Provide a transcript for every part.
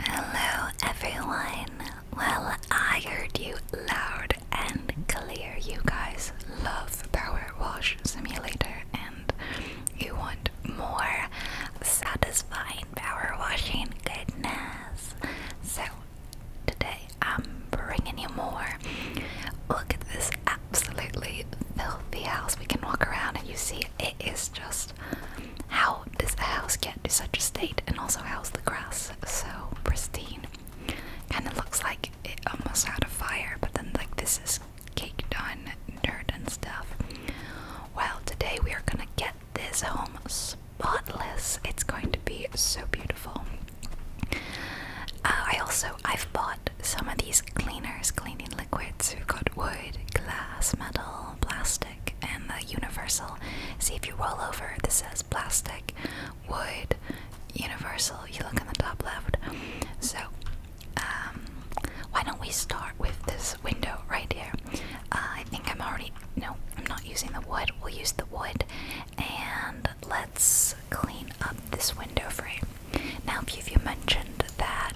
Hello everyone. Well, I heard you loud and clear. You guys love Power Wash Simulator and you want more satisfying power washing goodness. So, today I'm bringing you more. Look at this absolutely filthy house. We can walk around and you see it is just how does a house get to such a state? And also, how's the grass so pristine? Kind of looks like it almost had a fire, but then, like, this is caked on dirt and stuff. Well, today we are gonna get this home spotless. It's going to be so beautiful. Uh, I also I've bought some of these cleaners, cleaning liquids. We've got wood, glass, metal, plastic and the universal. See if you roll over, this says plastic, wood, universal. You look in the top left. So, um, why don't we start with this window right here? Uh, I think I'm already. No, I'm not using the wood. We'll use the wood and let's clean up this window frame. Now, if you mentioned that.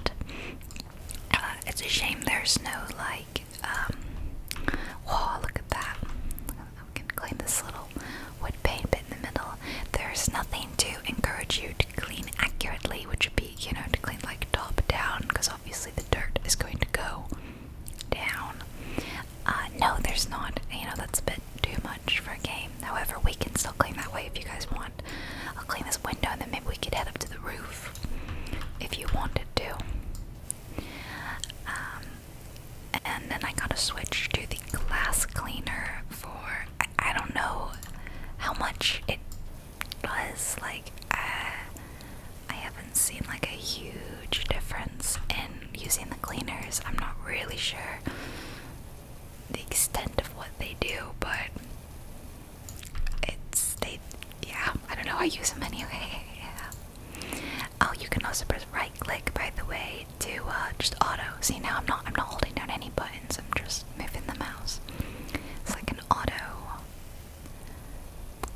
Uh, it's a shame there's no light like, um, look at that. I can clean this little wood paint bit in the middle. There's nothing to encourage you to clean accurately, which would be, you know, to clean like top down, because obviously the dirt is going to go down. Uh, no, there's not. You know, that's a bit too much for a game. However, we can still clean that way if you guys want. I'll clean this window and then maybe we could head up to the roof if you wanted to. Um, and then I gotta switch to the glass cleaner for I, don't know how much it does. Like uh, I haven't seen like a huge difference in using the cleaners. I'm not really sure the extent of what they do, but it's they yeah, I don't know, I use them anyway. Oh, you can also press right click by the way to uh, just auto. See now I'm not I'm not holding down any buttons, I'm just moving the mouse. It's like an auto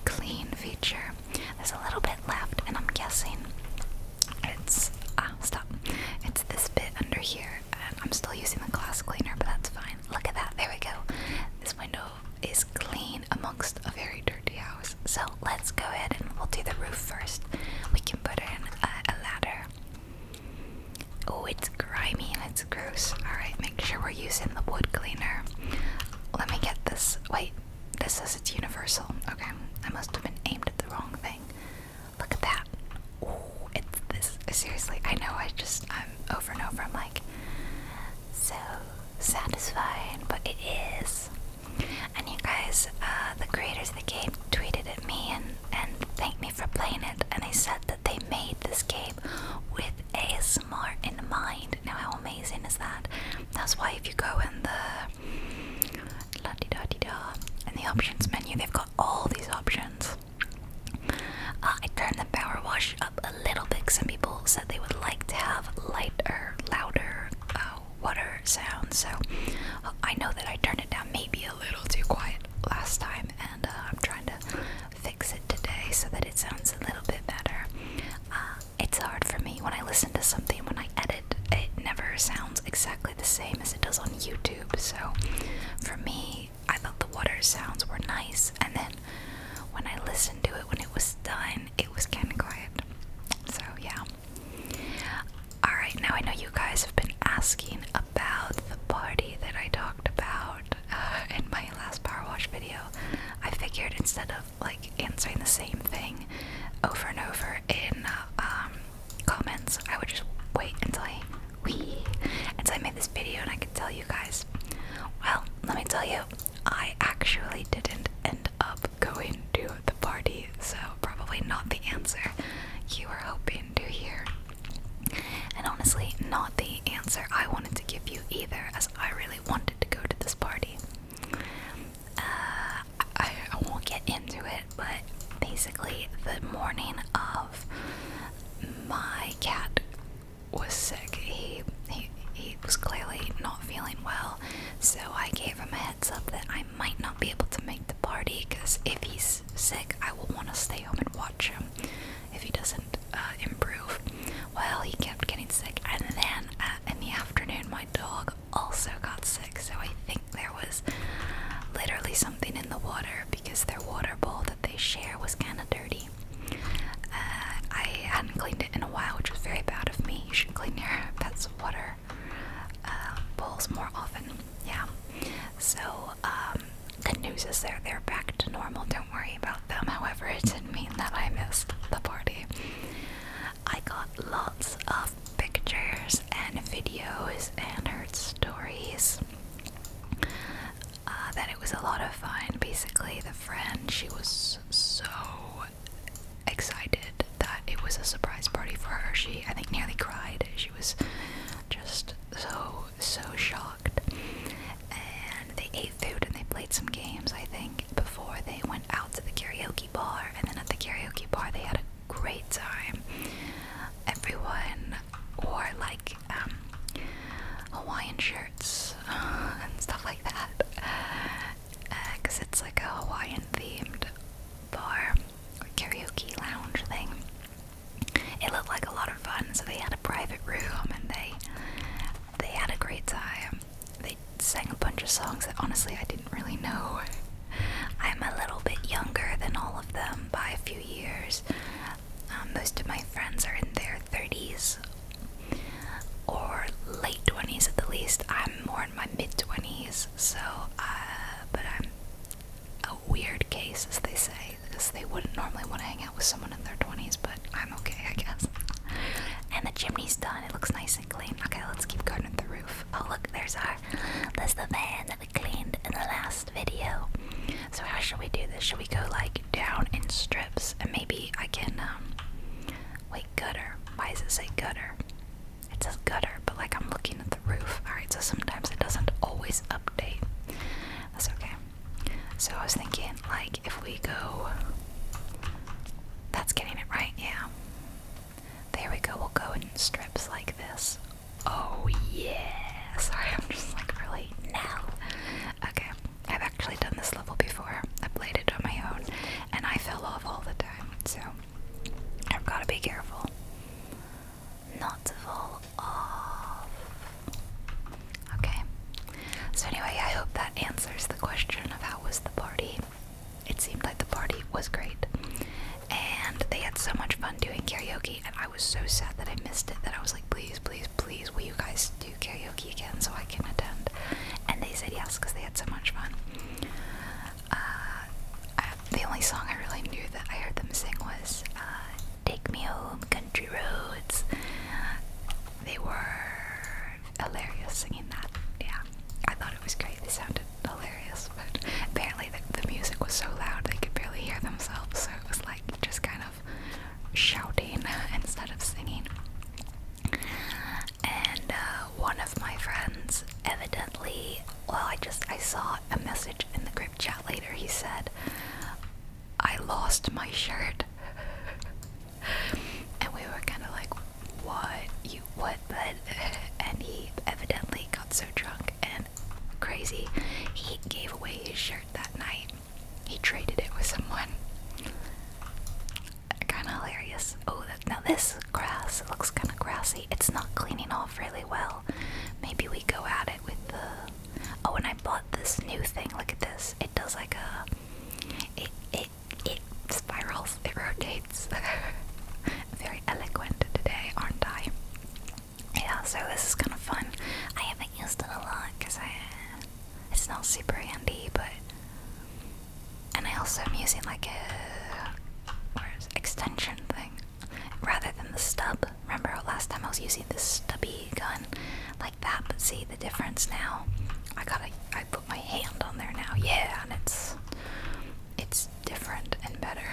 clean feature. There's a little bit left and I'm guessing it's ah stop. It's this bit under here I'm still using the glass cleaner, but that's fine. Look at that, there we go. This window is clean amongst a very dirty house. So let's go ahead and we'll do the roof first. We can put in a, ladder. Oh, it's grimy and it's gross. Alright, make sure we're using the wood cleaner. Let me get this. Wait, this is it's universal. Okay, I must have been aimed at the wrong thing. Look at that. Oh, it's this. Seriously, I know I just, I'm over and over. I'm like, so satisfying, but it is. And you guys, uh, the creators of the game tweeted at me and, and thanked me for playing it, and they said that they made this game with ASMR in mind. Now, how amazing is that? That's why if you go in the la -di da -di da in the options menu, they've got all these options. Uh, I turn the power wash up a little bit. Some people said they would like to have lighter, louder uh, water sounds. So I know that I turned it down maybe a little too quiet last time, and uh, I'm trying to fix it today so that it sounds a little bit better. Uh, it's hard for me when I listen to something, when I edit, it never sounds exactly the same as it does on YouTube. So for me, I thought the water sounds were nice, and then when I listened to it when it was done, it was kind of quiet. So, yeah. Alright, now I know you guys have been asking about the party that I talked about uh, in my last power wash video. I figured instead of like answering the same thing over and over in uh, um, comments, I would just wait until I we until I made this video and I could tell you guys. Well, let me tell you, I actually didn't end up going to the party, so probably not the answer you were hoping to hear. And honestly, not the answer I wanted to give you either, as I really wanted to go to this party. Uh, I won't get into it, but basically, the morning of my cat was sick. He, he he was clearly not feeling well, so I gave him a heads up that I might not be able to make the party because if he's sick, I will want to stay home and watch him if he doesn't uh, improve. Well, he kept getting sick, and then uh, in the afternoon, my dog also got sick, so I think there was literally something in the water because their water bowl that they share was kind of dirty. Uh, I hadn't cleaned it in a while, which was very bad of me. You should clean your pet's water uh, bowls more often. Yeah. So, um, good news is they're they're back to normal. Don't worry about them. However, it didn't mean that I missed the party. I got lots of pictures and videos and heard stories uh, that it was a lot of fun. Basically, the friend she was so excited that it was a surprise party for her. She I think nearly cried. She was just so so shocked. And they ate food and they played some games. I think before they went out to the karaoke bar, and then at the karaoke bar they had a great time. Everyone wore like um, Hawaiian shirts uh, and stuff like that. Because uh, it's like a Hawaiian themed bar, or karaoke lounge thing. It looked like a lot of fun, so they had a private room and they they had a great time. They sang a bunch of songs that honestly I didn't really know. I'm a little bit younger than all of them by a few years. Um, most of my friends are in their 30s or late 20s at the least. I'm more in my mid 20s, so, uh, but I'm a weird case, as they say, because they wouldn't normally want to hang out with someone in their 20s, but I'm okay, I guess. and the chimney's done, it looks nice and clean. Okay, let's keep going with the roof. Oh, look, there's our, there's the van that we cleaned in the last video. So, how should we do this? Should we go like down and straight? and maybe I can, um, wait, gutter. Why does it say gutter? It says gutter, but like I'm looking at the roof. Alright, so sometimes it doesn't always update. That's okay. So I was thinking, like, if we go. That's getting it right, yeah. There we go, we'll go in strips like this. Oh, yeah. Sorry, I'm just like really. now. Okay. I've actually done this level before. I played it on my own and I fell off all the time, so I've got to be careful not to fall off. Okay. So, anyway, I hope that answers the question of how was the party. It seemed like the party was great. And they had so much fun doing karaoke, and I was so sad that I missed it that I was like, please, please, please, will you guys karaoke again so I can attend. And they said yes because they had so much fun. Uh, the only song I really knew that I heard them sing was uh, Take Me Home, Country Roads. They were hilarious singing that. Yeah, I thought it was great. They sounded hilarious, but apparently the music was so loud they could barely hear themselves, so it was like just kind of shouting uh, instead of singing. And uh, one of my friends evidently, well, I just I saw a message in the group chat later. He said, "I lost my shirt," and we were kind of like, "What you what?" But and he evidently got so drunk and crazy, he gave away his shirt that night. He traded it with someone. Kinda hilarious. Oh, that, now this grass looks kinda grassy. It's not cleaning off really well. Maybe we go at it with the. Oh, and I bought this new thing. Look at this. It does like a. It it it spirals. It rotates. Very eloquent today, aren't I? Yeah. So this is kind of fun. I haven't used it a lot because I it's not super handy, but and I also am using like a extension thing rather than the stub. Remember last time I was using this stubby gun like that, but see the difference now. I got I put my hand on there now, yeah, and it's it's different and better.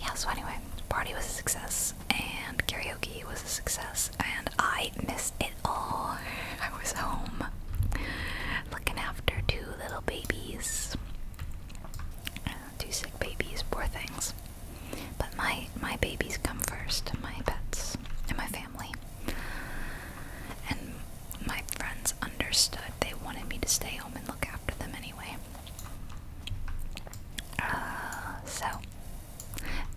Yeah, so anyway, party was a success and karaoke was a success and I missed it all. I was home looking after two little babies. Two sick babies, poor things. But my my babies come first, my pets and my family. And my friends understood. They wanted me to stay home and look after them anyway. Uh, so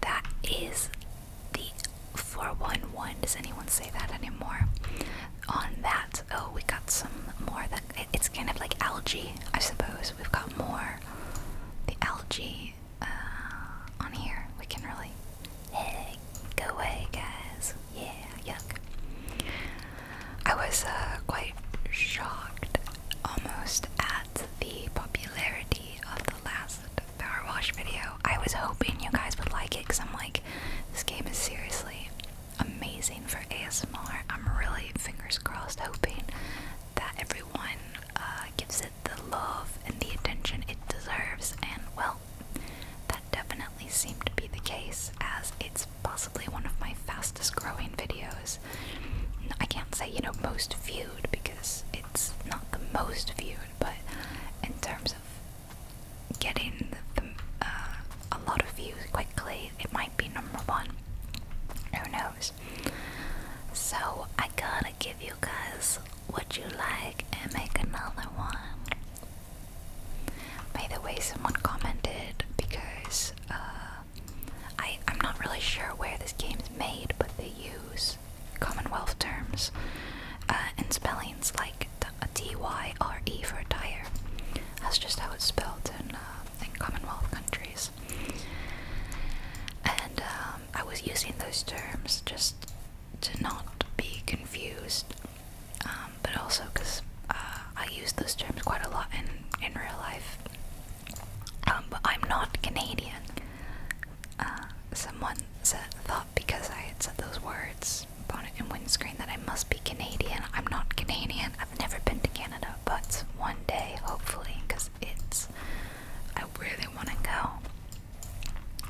that is the 411. Does anyone say that anymore? On that, oh, we got some more. That it's kind of like algae, I suppose. We've got more the algae uh, on here. We can really hey, go away, guys. Yeah, yuck. I was uh, quite shocked almost at the popularity of the last power wash video. I was hoping you guys would like it because I'm like, this game is seriously amazing for ASMR. I'm really fingers crossed hoping that everyone uh, gives it the love and the attention it deserves, and well, that definitely seemed to be the case as it's possibly one of my fastest growing videos. I can't say, you know, most viewed because it's not the most viewed, but in terms of getting uh, a lot of views quickly, it might be number one. Who knows? So I gotta give you guys what you like and make another one. By the way, someone commented because uh, I I'm not really sure where this game's made, but they use Commonwealth terms and uh, spellings like T Y R E for tire. That's just how it's spelled in, uh, Commonwealth countries. And um, I was using those terms just to not be confused, um, but also because uh, I use those terms quite a lot in, in real life. Um, but I'm not Canadian. Uh, someone thought because I had said those words, on the windscreen, that I must be Canadian. I'm not Canadian. I've never been to Canada, but one day, hopefully, because it's. I really want to go.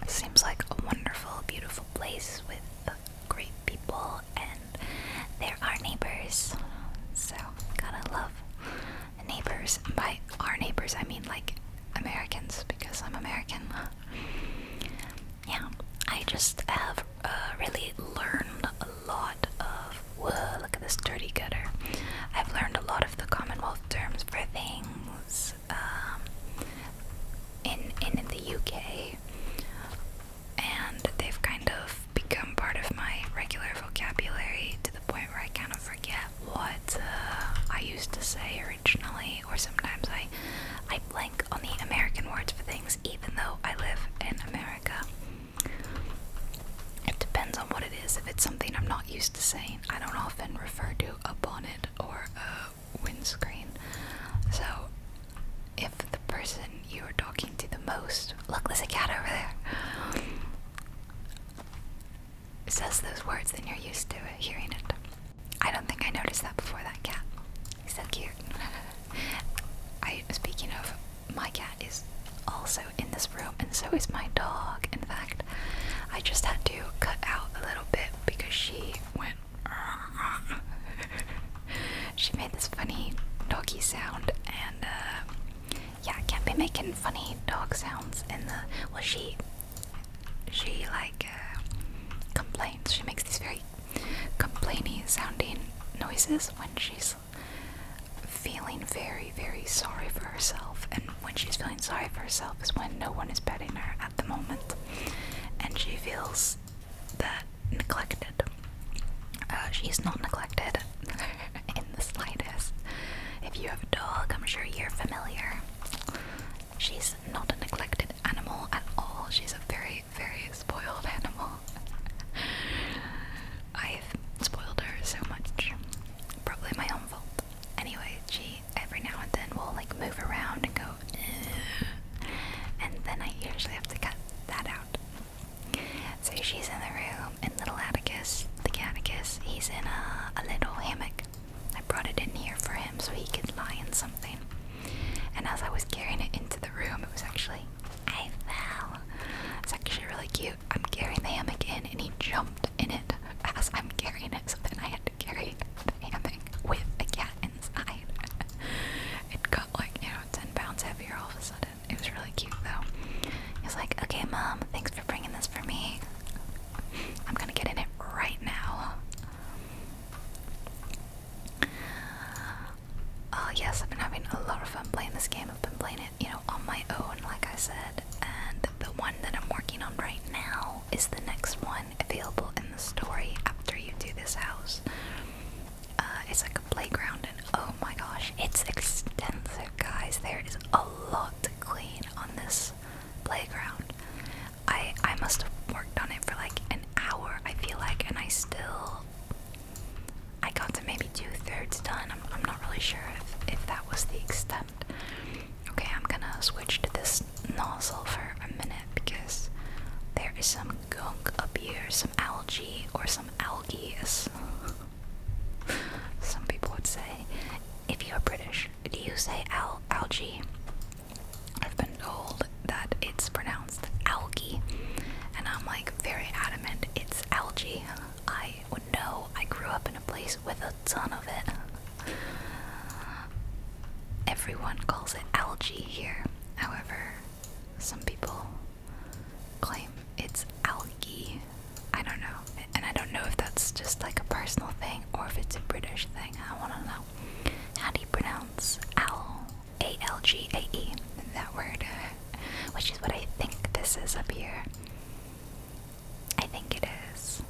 It seems like a wonderful, beautiful place with uh, great people, and they're our neighbors. So, gotta love neighbors. By our neighbors, I mean like Americans because I'm American. yeah, I just have uh, really learned a lot of. Whoa, look at this dirty gutter. I've learned a lot of the Commonwealth terms for things um, in, in, in the UK, and they've kind of become part of my regular vocabulary to the point where I kind of forget what uh, I used to say originally, or sometimes I I blank on the American words for things, even though I live in America. It depends on what it is. If it's something I'm not used to saying, I don't often refer to a bonnet or a windscreen. So, if the person you are talking to the most, look, there's a cat over there says those words, and you're used to hearing it. I don't think I noticed that before that cat. He's so cute. I speaking of my cat is also in this room and so is my dog. In fact, I just had to cut out a little bit because she went she made this funny doggy sound and uh, yeah, can't be making funny dog sounds in the. Well, she. She, like, uh, complains. She makes these very complaining sounding noises when she's feeling very, very sorry for herself. And when she's feeling sorry for herself is when no one is petting her at the moment. And she feels that neglected. Uh, she's not neglected. the slightest. If you have a dog, I'm sure you're familiar. She's not a neglected animal at all. She's a very, very spoiled animal. I've spoiled her so much. Probably my own fault. Anyway, she every now and then will like move around and go and then I usually have to cut that out. So she's in the room and little Atticus, the Atticus, he's in a little hammock I brought it in here for him so he could lie in something. And as I was carrying it into the room, it was actually. I fell. It's actually really cute. I'm carrying the hammock in and he jumped in it as I'm carrying it, so then I had to carry the hammock with a cat inside. it got like, you know, 10 pounds heavier all of a sudden. It was really cute though. He was like, okay, mom, thanks for bringing this for me. I'm gonna get in it right now. Oh, yes, I've been having a lot of fun playing this game. I've been playing it, you know, on my own, like I said. And the one that I'm working on right now is the next one available in the story after you do this house. Uh, it's like a playground, and oh my gosh, it's extensive, guys. There is a lot to clean on this playground. I I must have worked on it for like an hour. I feel like, and I still I got to maybe two thirds done. I'm I'm not really sure if if that was the extent. Okay, I'm gonna switch to this nozzle for a minute because there is some gunk up here, some algae or some algae, as some people would say, if you're British. Do you say al algae? I've been told that it's pronounced algae, and I'm like very adamant it's algae. I know I grew up in a place with a ton of it. Everyone calls it algae here, however, some people claim it's algae. I don't know. And I don't know if that's just like a personal thing or if it's a British thing. I want to know. How do you pronounce owl? A L G A E. That word. Uh, which is what I think this is up here. I think it is.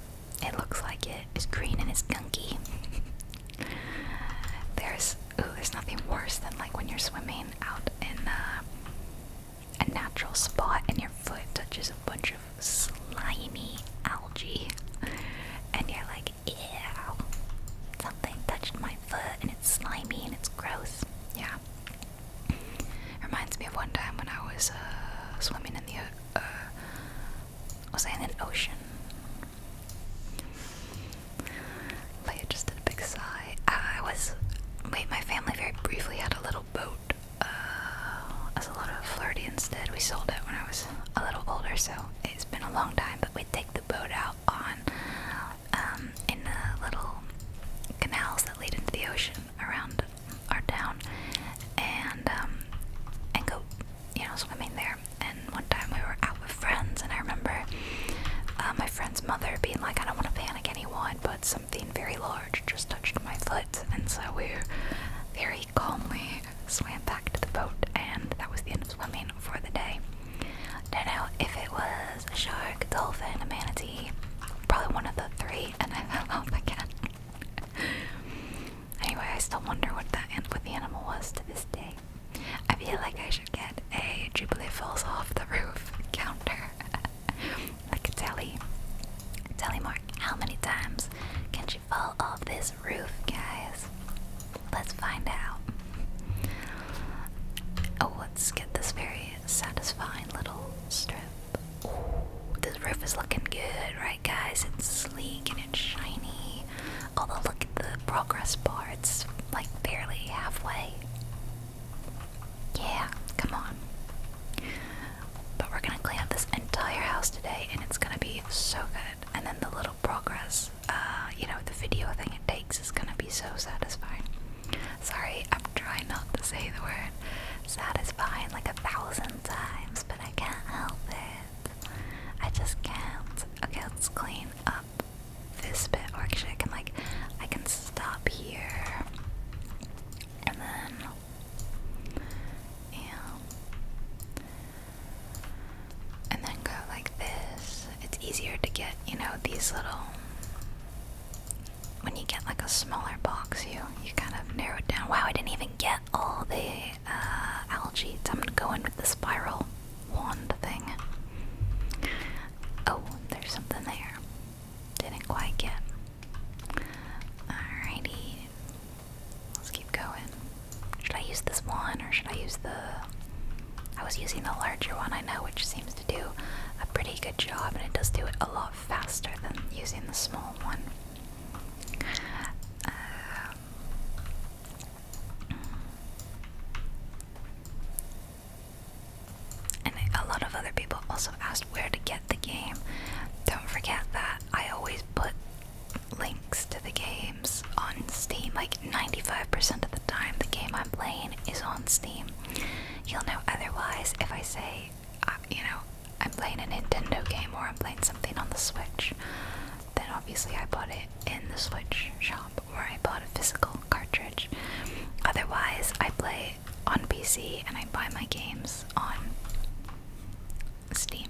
It looks like It's green and it's gunky. there's ooh, there's nothing worse than like when you're swimming out in uh, a natural spot and your foot touches a bunch of slimy algae, and you're like, ew, something touched my foot and it's slimy and it's gross. Yeah. Reminds me of one time when I was uh, swimming in the, uh, was I in an ocean? Leia just did a big sigh. I was, wait, my family very briefly had a little boat uh, as a lot of flirty instead. We sold it when I was a little older, so it's been a long time. But we take the boat out on um, in the little canals that lead into the ocean around our town, and um, and go you know swimming there. And one time we were out with friends, and I remember uh, my friend's mother being like, "I don't want to panic anyone, but something very large just touched my foot," and so we we're very he calmly swam back to the boat, and that was the end of swimming for the day. Don't know if it was a shark, dolphin, a manatee, probably one of the three, and I fell off again. anyway, I still wonder what the animal was to I feel like I should get a Jubilee falls off the roof counter. I can tell you, tell telly. more. how many times can you fall off this roof, guys? Let's find out. Oh, let's get this very satisfying little strip. this roof is looking good, right, guys? It's sleek and it's shiny. Oh, look at the progress bar, it's like barely halfway. Yeah, come on. But we're gonna clean up this entire house today, and it's gonna be so good. And then the little progress, uh, you know, the video thing it takes is gonna be so satisfying. Sorry, I'm trying not to say the word satisfying like a thousand times, but I can't help it. I just can't. Okay, let's clean up this bit. Or I can like, I can stop here, and then yeah. And then go like this. It's easier to get, you know, these little. When you get like a smaller box, you you kind of narrow it down. Wow, I didn't even get all the uh, algae. I'm gonna go in with the spiral wand thing. Oh, there's something there. Didn't quite get. Alrighty, Let's keep going. Should I use this one or should I use the. I was using the larger one, I know, which seems to do a pretty good job and it does do it a lot faster than using the small one. Um, and a lot of other people also asked where to get the game. Don't forget that I always put links to the games on Steam. Like 95% of the time, the game I'm playing is on Steam. You'll know otherwise if I say, uh, you know, I'm playing a Nintendo game or I'm playing something on the Switch. Then obviously I bought it in the Switch shop or I bought a physical cartridge. Otherwise, I play on PC and I buy my games on Steam.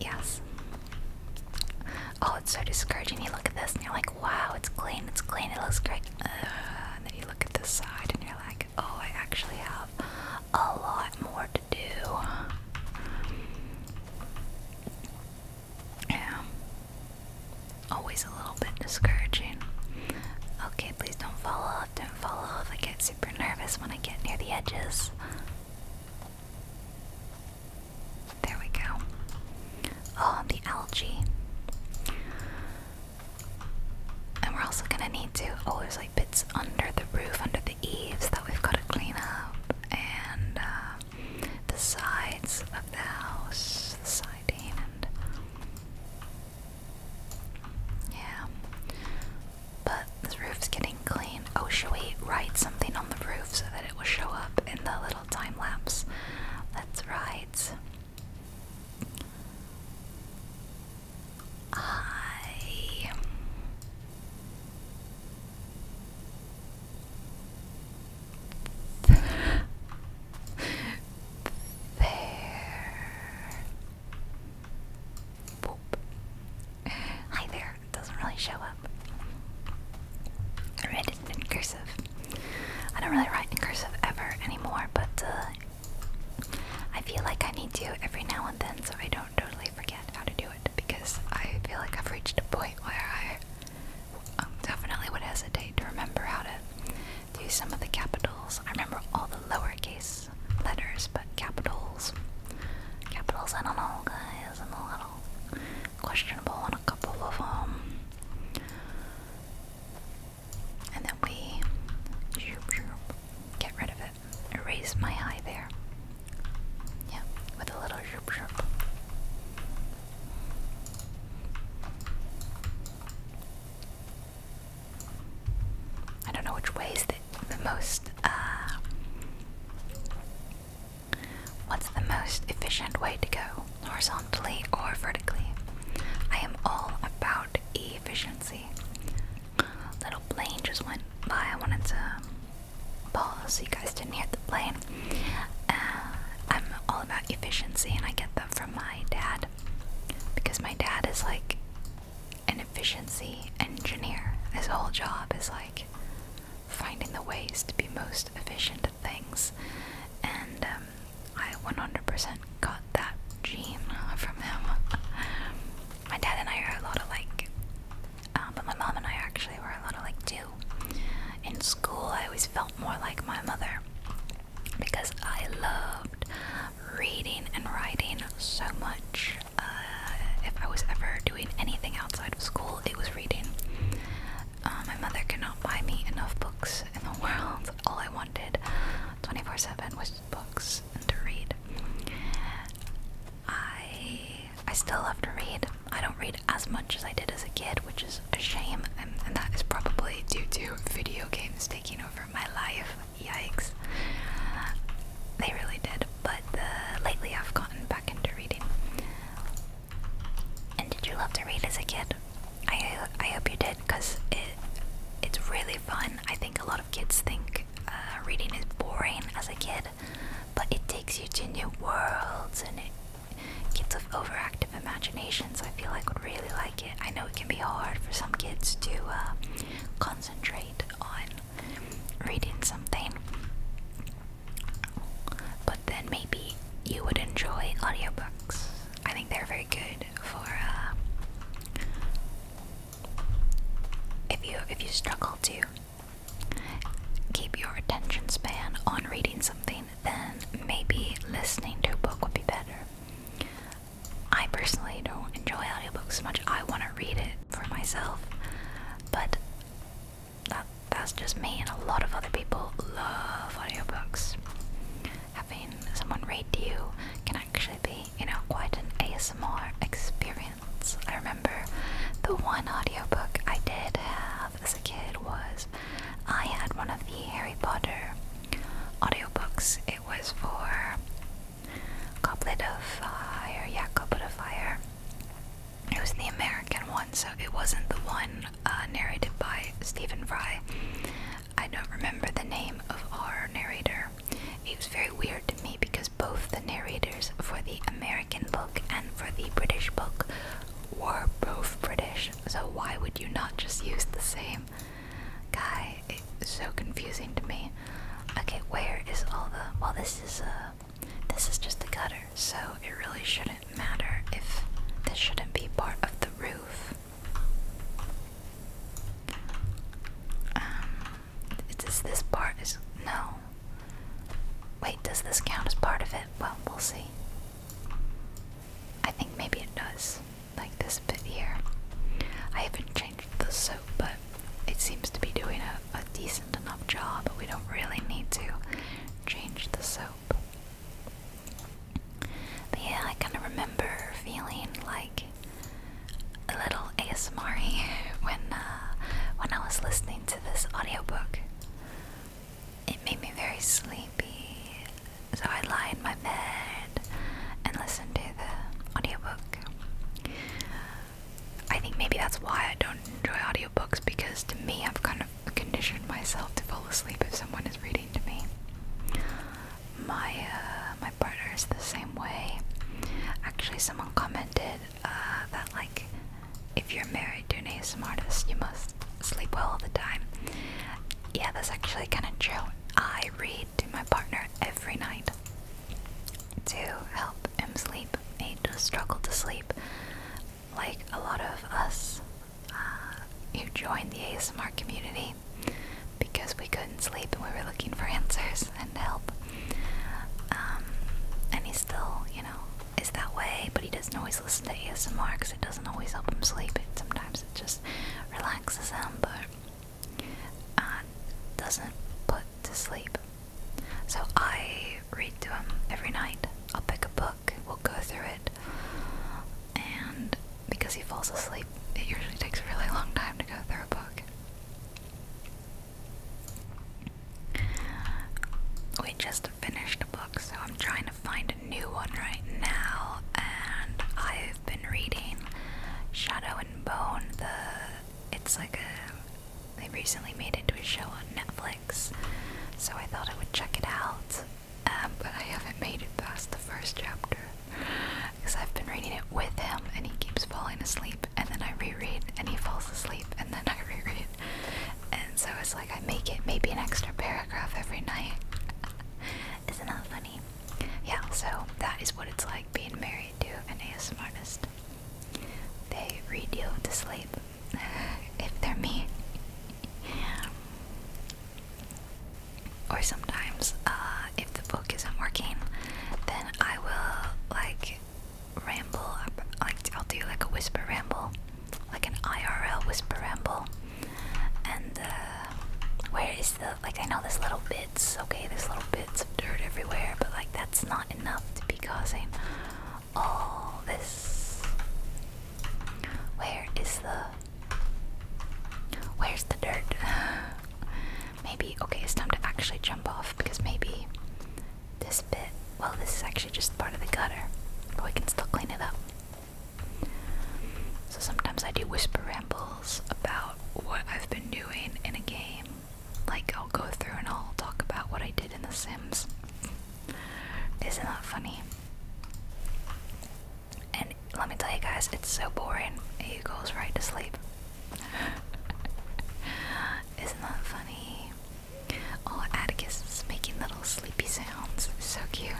Yes. Oh, it's so discouraging. You look at this and you're like, wow, it's clean, it's clean, it looks great. and then you look at this side and you're like, oh, I actually have a lot more to do. Yeah. Always a little bit discouraging. Okay, please don't fall off, don't fall off. I can't see super nervous when I get near the edges. There we go. Oh, the algae. And we're also gonna need to. Oh, there's like bits under the roof, under the eaves that we've gotta clean up. And uh, the sides of the house, the siding, and yeah. But the roof's getting clean. Oh, shall we write something on the roof so that it will show up in the little time lapse? Let's write. I. There. Hi there. doesn't really show up. I read in cursive. I don't really write in cursive ever anymore, but uh, I feel like I need to every now and then so I don't totally forget how to do it because I feel like I've reached a point where I um, definitely would hesitate to remember how to do some of the capitals. I remember all the lowercase letters, but capitals. Capitals, I don't know, guys. I'm a little questionable on a couple of them. And then we get rid of it. Erase my eye there. Yeah, with a little shoop shoop. I don't know which way is the, most, uh, what's the most efficient way to go, horizontally or vertically? I am all about efficiency. Little plane just went by. I wanted to pause so you guys didn't hear the plane. Uh, I'm all about efficiency, and I get that from my dad because my dad is like an efficiency engineer. His whole job is like finding the ways to be most efficient at things. And um, I 100% got that gene from him. my dad and I are a lot of like, um, but my mom and I actually were a lot of like too. In school, I always felt more like my mother because I loved reading and writing so much. Uh, if I was ever doing anything outside of school, it was reading. Uh, my mother cannot buy me enough books in the world. All I wanted 24 7 was books and to read. I I still love to read. I don't read as much as I did as a kid, which is a shame, and that is probably due to video games taking over my life. Yikes. They really did, but lately I've gotten back into reading. And did you love to read as a kid? I I hope you did, cause it it's really fun. I think a lot of kids think uh, reading is boring as a kid, but it takes you to new worlds and kids with overactive imaginations. I feel like would really like it. I know it can be hard for some kids to uh, concentrate on reading something. But then maybe you would enjoy audiobooks. I think they're very good for uh, if you if you struggle to keep your attention span on reading something, then maybe listening to a book would be better. I personally don't enjoy audiobooks much. I want to read it for myself, but that that's just me and a lot of other people love audiobooks. Having someone read to you can actually be, you know, quite an ASMR experience. I remember the one audiobook I did have as a kid was I had one of the Harry Potter audiobooks. It was for Goblet of Fire, yeah, Goblet of Fire. It was the American one, so it wasn't the one uh, narrated by Stephen Fry. I don't remember the name of our narrator. It was very weird to me because both the narrators for the American book and for the British book were both British, so why would you not just use the same guy? so confusing to me. Okay, where is all the? Well, this is a, uh, this is just the gutter, so it really shouldn't matter if this shouldn't be part of the roof. Um, does this part is no? Wait, does this count as part of it? Well, we'll see. I think maybe it does. Like this bit here. I haven't cha the soap, but it seems to be doing a, decent enough job. We don't really need to change the soap. yeah, I kind of remember feeling like a little ASMR when uh, when I was listening to this audio book. It made me very sleepy, so I lie in my bed and listen to the audio book. I think maybe that's why I don't enjoy audiobooks because to me I've kind of conditioned myself to fall asleep if someone is reading to me. My uh, my partner is the same way. Actually, someone commented uh, that like if you're married to a ASMR artist, you must sleep well all the time. Yeah, that's actually kind of true. I read to my partner every night to help him sleep. He just struggled to sleep, like a lot of us uh, who joined the ASMR community because we couldn't sleep and we were looking for answers and help. Um, and he still, you know, is that way, but he doesn't always listen to ASMR because it doesn't always help him sleep. sometimes it just relaxes him, but uh, doesn't put to sleep. So I read to him every night. I'll pick a book, we'll go through it, and because he falls asleep, it usually takes a really long time to go through a book. We just finished a book, so I'm trying to find a new one right now, and I've been reading Shadow and Bone. The it's like a they recently made it to a show on Netflix, so I thought I would check it out. Um, but I haven't made it past the first chapter because I've been reading it with him and he keeps falling asleep, and then I reread and he falls asleep, and then I reread. And so it's like I make it maybe an extra paragraph every night. Isn't that funny? Yeah, so that is what it's like being married to an ASMRist. They read you to sleep if they're me. or sometimes, uh, if the book isn't working, then I will like ramble. Like I'll do like a whisper ramble, like an IRL whisper ramble. And uh, where is the like? I know there's little bits. Okay, there's little bits of dirt everywhere, but like that's not enough to be causing all this. Where is the. Where's the dirt? maybe. Okay, it's time to actually jump off because maybe this bit. Well, this is actually just part of the gutter, but we can still clean it up. So sometimes I do whisper rambles about what I've been doing in a game like I'll go through and I'll talk about what I did in The Sims. Isn't that funny? And let me tell you guys, it's so boring. He goes right to sleep. Isn't that funny? Oh, Atticus is making little sleepy sounds. So cute.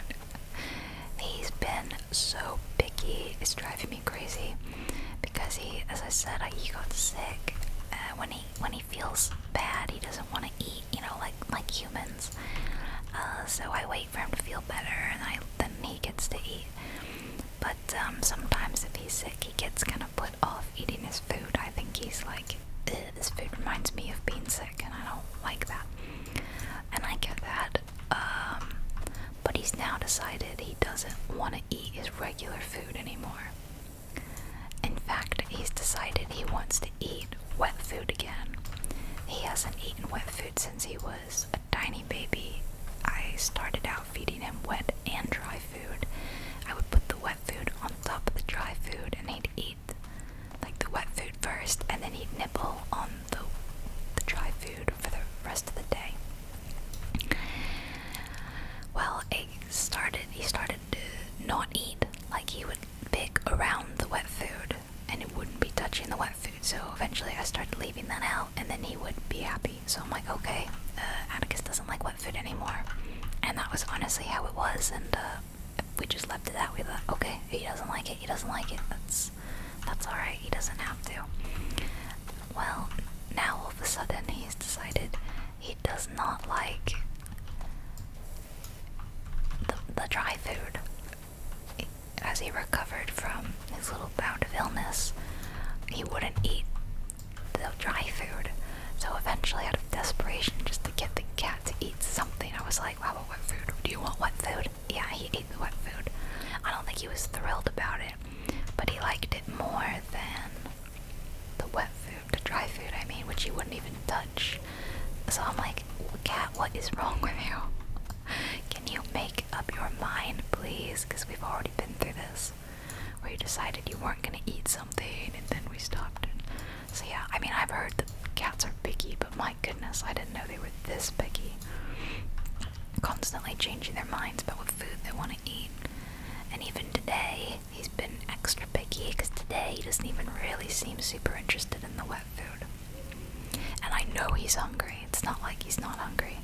He's been so picky. It's driving me crazy because he, as I said, he got sick. Uh, when he when he feels bad, he doesn't want to eat. You know, like like humans. Uh, so I wait for him to feel better, and I then he gets to eat. But um, sometimes if he's sick, he gets kind of put off eating his food. I think he's like, this food reminds me of being sick, and I don't like that. And I get that. Um, but he's now decided he doesn't want to eat his regular food anymore. In fact, he's decided he wants to eat wet food again. He hasn't eaten wet food since he was a tiny baby. I started out feeding him wet and dry food. I would put the wet food on top of the dry food and he'd eat like the wet food first and then he'd nibble on the, the dry food for the rest of the day. Well, a like started he started to not eat like he would pick around the wet food and it wouldn't be touching the wet food so eventually i started leaving that out and then he would be happy so i'm like okay uh, atticus doesn't like wet food anymore and that was honestly how it was and uh, we just left it that way that okay he doesn't like it he doesn't like it that's that's all right he doesn't have to well now all of a sudden he's decided he does not like the, the dry food. As he recovered from his little bout of illness, he wouldn't eat the dry food. So eventually, out of desperation, just to get the cat to eat something, I was like, well, what food? Do you want wet food?" Yeah, he ate the wet food. I don't think he was thrilled about it, but he liked it more than the wet food, the dry food, I mean, which you wouldn't even touch. So I'm like, Cat, what is wrong with you? Can you make up your mind, please? Because we've already been through this. Where you decided you weren't gonna eat something and then we stopped. So, yeah, I mean, I've heard that cats are picky, but my goodness, I didn't know they were this picky. Constantly changing their minds about what food they want to eat. And even today, He's been extra picky because today he doesn't even really seem super interested in the wet food. And I know he's hungry. It's not like he's not hungry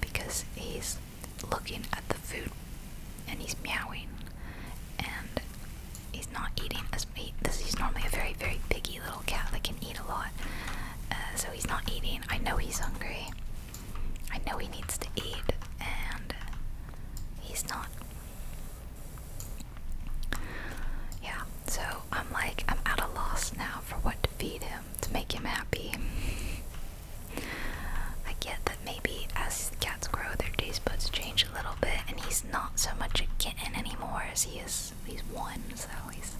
because he's looking at the food and he's meowing and he's not eating as he, this he's normally a very very picky little cat that can eat a lot uh, so he's not eating i know he's hungry I know he needs to eat, and he's not. Yeah, so I'm like, I'm at a loss now for what to feed him to make him happy. I get that maybe as cats grow, their taste buds change a little bit, and he's not so much a kitten anymore as he is. He's one, so he's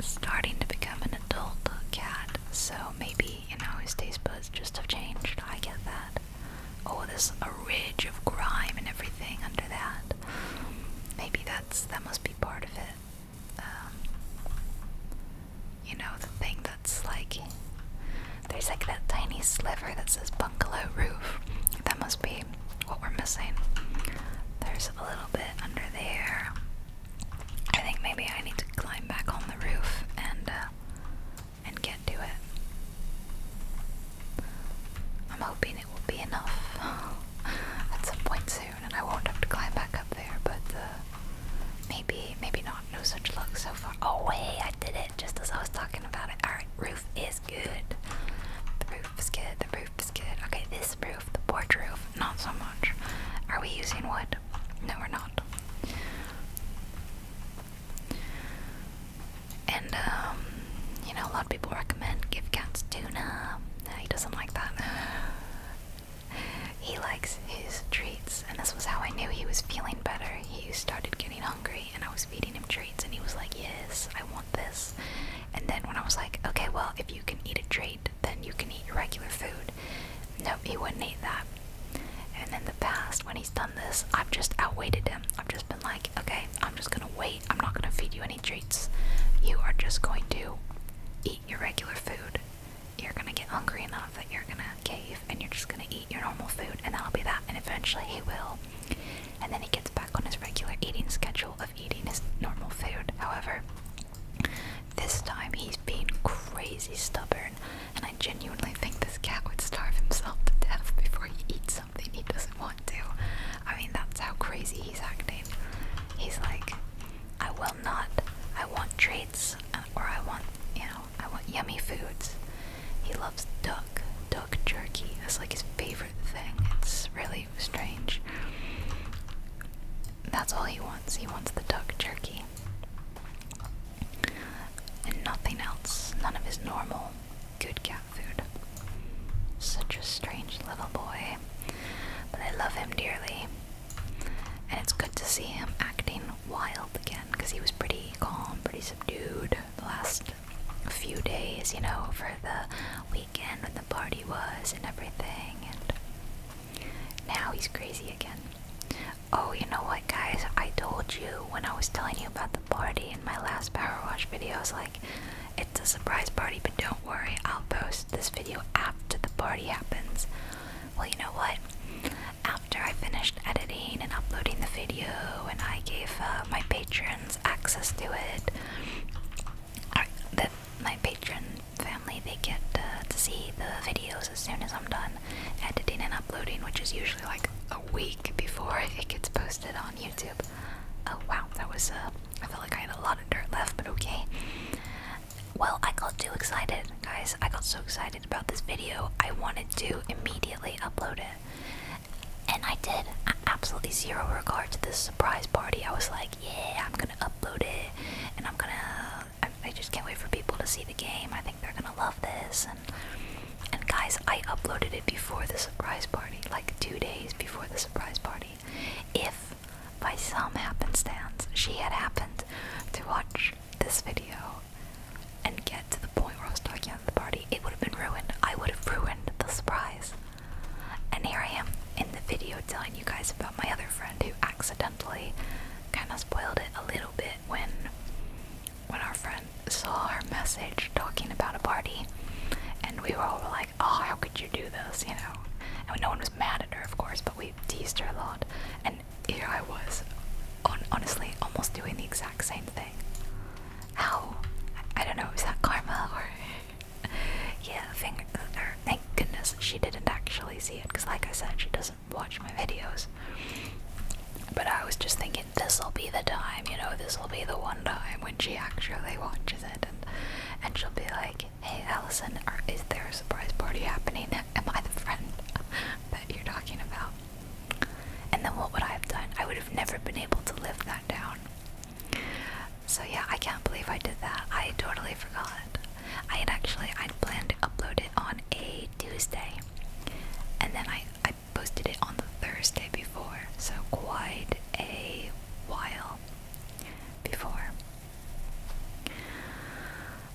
starting to become an adult cat. So maybe maybe, you know, his taste buds just have changed. I get that. Oh, there's a ridge of grime and everything under that. Maybe that's that must be part of it. Um, you know, the thing that's like there's like that tiny sliver that says bungalow roof. That must be what we're missing. There's a little bit under there. I think maybe I need to climb back on the roof and uh, and get to it. I'm hoping it will be enough at some point soon and I won't have to climb back up there, but uh, maybe, maybe not. No such luck so far. Oh, wait, I did it just as I was talking about it. Alright, roof is good. The roof is good, the roof is good. Okay, this roof, the porch roof, not so much. Are we using wood? No, we're not. And um, you know, a lot of people recommend give cats tuna. No, he doesn't like that. he likes his treats, and this was how I knew he was feeling better. He started getting hungry, and I was feeding him treats, and he was like, "Yes, I want this." And then when I was like, "Okay, well, if you can eat a treat, then you can eat your regular food," food. Nope, he wouldn't eat that. And in the past, when he's done this, I've just outweighted him. I've just been like, okay, I'm just gonna wait. I'm not gonna feed you any treats. You are just going to eat your regular food. You're gonna get hungry enough that you're gonna cave and you're just gonna eat your normal food, and that'll be that. And eventually, he will. And then he gets back on his regular eating schedule of eating his normal food. However, this time he's being crazy stubborn and I genuinely think this cat would starve himself to death before he eats something he doesn't want to. I mean, that's how crazy he's acting. He's like, I will not, I want treats, uh, or I want, you know, I want yummy foods. He loves duck, duck jerky. That's like his favorite thing. It's really strange. That's all he wants. He wants the duck jerky and nothing else, none of his normal good cat food. Such a strange little boy, but I love him dearly. And it's good to see him acting wild again because he was pretty calm, pretty subdued the last few days, you know, for the weekend when the party was and everything. And now he's crazy again. Oh, you know what, guys? I told you when I was telling you about the party in my last power wash video. I like, it's a surprise party, but don't worry, I'll post this video after the party happens. Well, you know what? After I finished editing and uploading the video, and I gave uh, my patrons access to it, I, my patron family they get uh, to see the videos as soon as I'm done editing and uploading, which is usually like a week before it gets posted on YouTube. Oh wow, that was, a. Uh, I felt like I had a lot of dirt left, but okay. Well, I got too excited, guys. I got so excited about this video, I wanted to immediately upload it. And I did. absolutely zero regard to this surprise party. I was like, yeah, I'm gonna upload it and I'm gonna I, just can't wait for people to see the game. I think they're gonna love this. And and guys, I uploaded it before the surprise party, like two days before the surprise party. If by some happenstance she had happened to watch this video and get to the point where I was talking about the party, it would have been ruined. I would have ruined the surprise. And here I am in the video telling you guys about my other friend who accidentally kind of spoiled it a little bit when when our friend saw our message talking about a party and we were all like, Oh, how could you do this? you know? And no one was mad at her of course, but we teased her a lot. And here I was honestly almost doing the exact same thing. How I, don't know, is that karma or yeah, thank goodness she didn't actually see it because like I said she doesn't watch my videos. But I was just thinking this'll be the time, you know, this'll be the one time when she actually watches it and she'll be like, Hey Allison, is there a surprise party happening? Am I the friend that you're talking about? And then what would I have done? I would have never been able to live that down. So yeah, I can't believe I did that. I totally forgot. I had actually I'd planned to upload it on a Tuesday and then I, I posted it on the Thursday before, so quite a while before.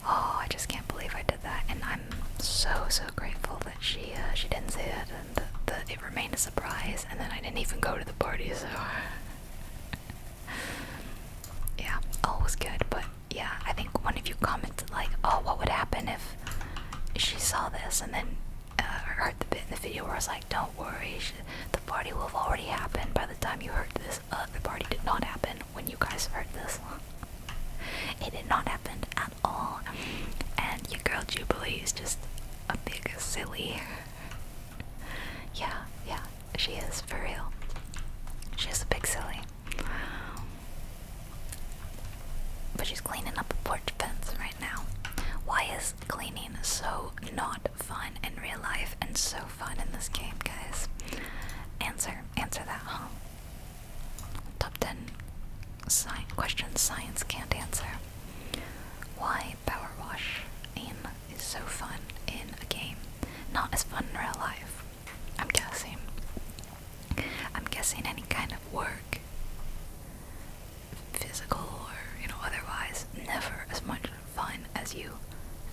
Oh, I just can't believe I did that, and I'm so so grateful that she uh, she didn't say it, and that it remained a surprise. And then I didn't even go to the party, so yeah, all was good. But yeah, I think one of you commented like, "Oh, what would happen if she saw this?" And then uh, I heard the bit in the video where I was like, "Don't worry, the party will have already happened by the time you heard this. Uh, the party did not happen when you guys heard this. it did not happen at all." And your girl Jubilee is just a big silly. yeah, yeah, she is for real. She is a big silly. But she's cleaning up a porch fence right now. Why is cleaning so not fun in real life and so fun in this game, guys? Answer, answer that, huh? Top 10 science questions science can't answer. Why power wash is so fun in a game, not as fun in real life? I'm guessing. I'm guessing any kind of work, physical or you know otherwise, never as much fun as you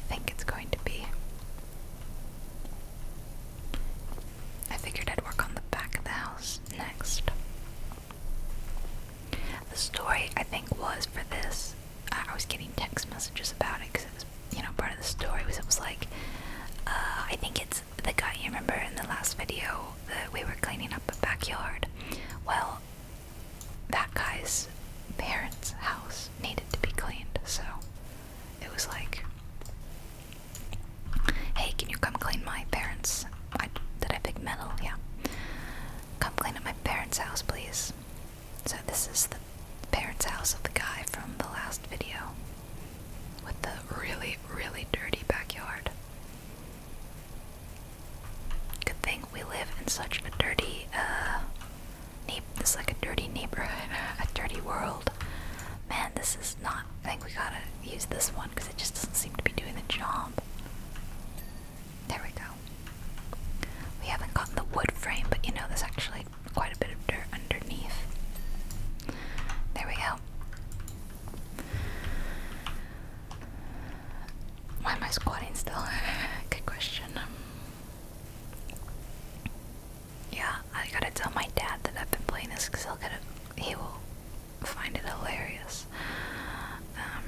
think it's going to be. I figured I'd work on the back of the house next. The story I think was for this. I was getting text messages about it because it was, you know, part of the story was it was like, uh, I think it's the guy you remember in the last video that we were cleaning up a backyard. Well, that guy's parents' house needed to be cleaned, so it was like, hey, can you come clean my parents? I, did I pick metal? Yeah. Come clean up my parents' house, please. So, this is the parents' house of the guy from the last video with the really, really dirty backyard. Good thing we live in such a dirty, uh, this like a dirty neighborhood, a dirty world. Man, this is not. I think we gotta use this one because it just doesn't seem to be doing the job. There we go. We haven't gotten the wood frame, but you know, this actually quite a bit of dirt underneath. There we go. Why am I squatting still? Good question. Um, yeah, I gotta tell my dad that I've been playing this because he'll get it. He will find it hilarious. Um,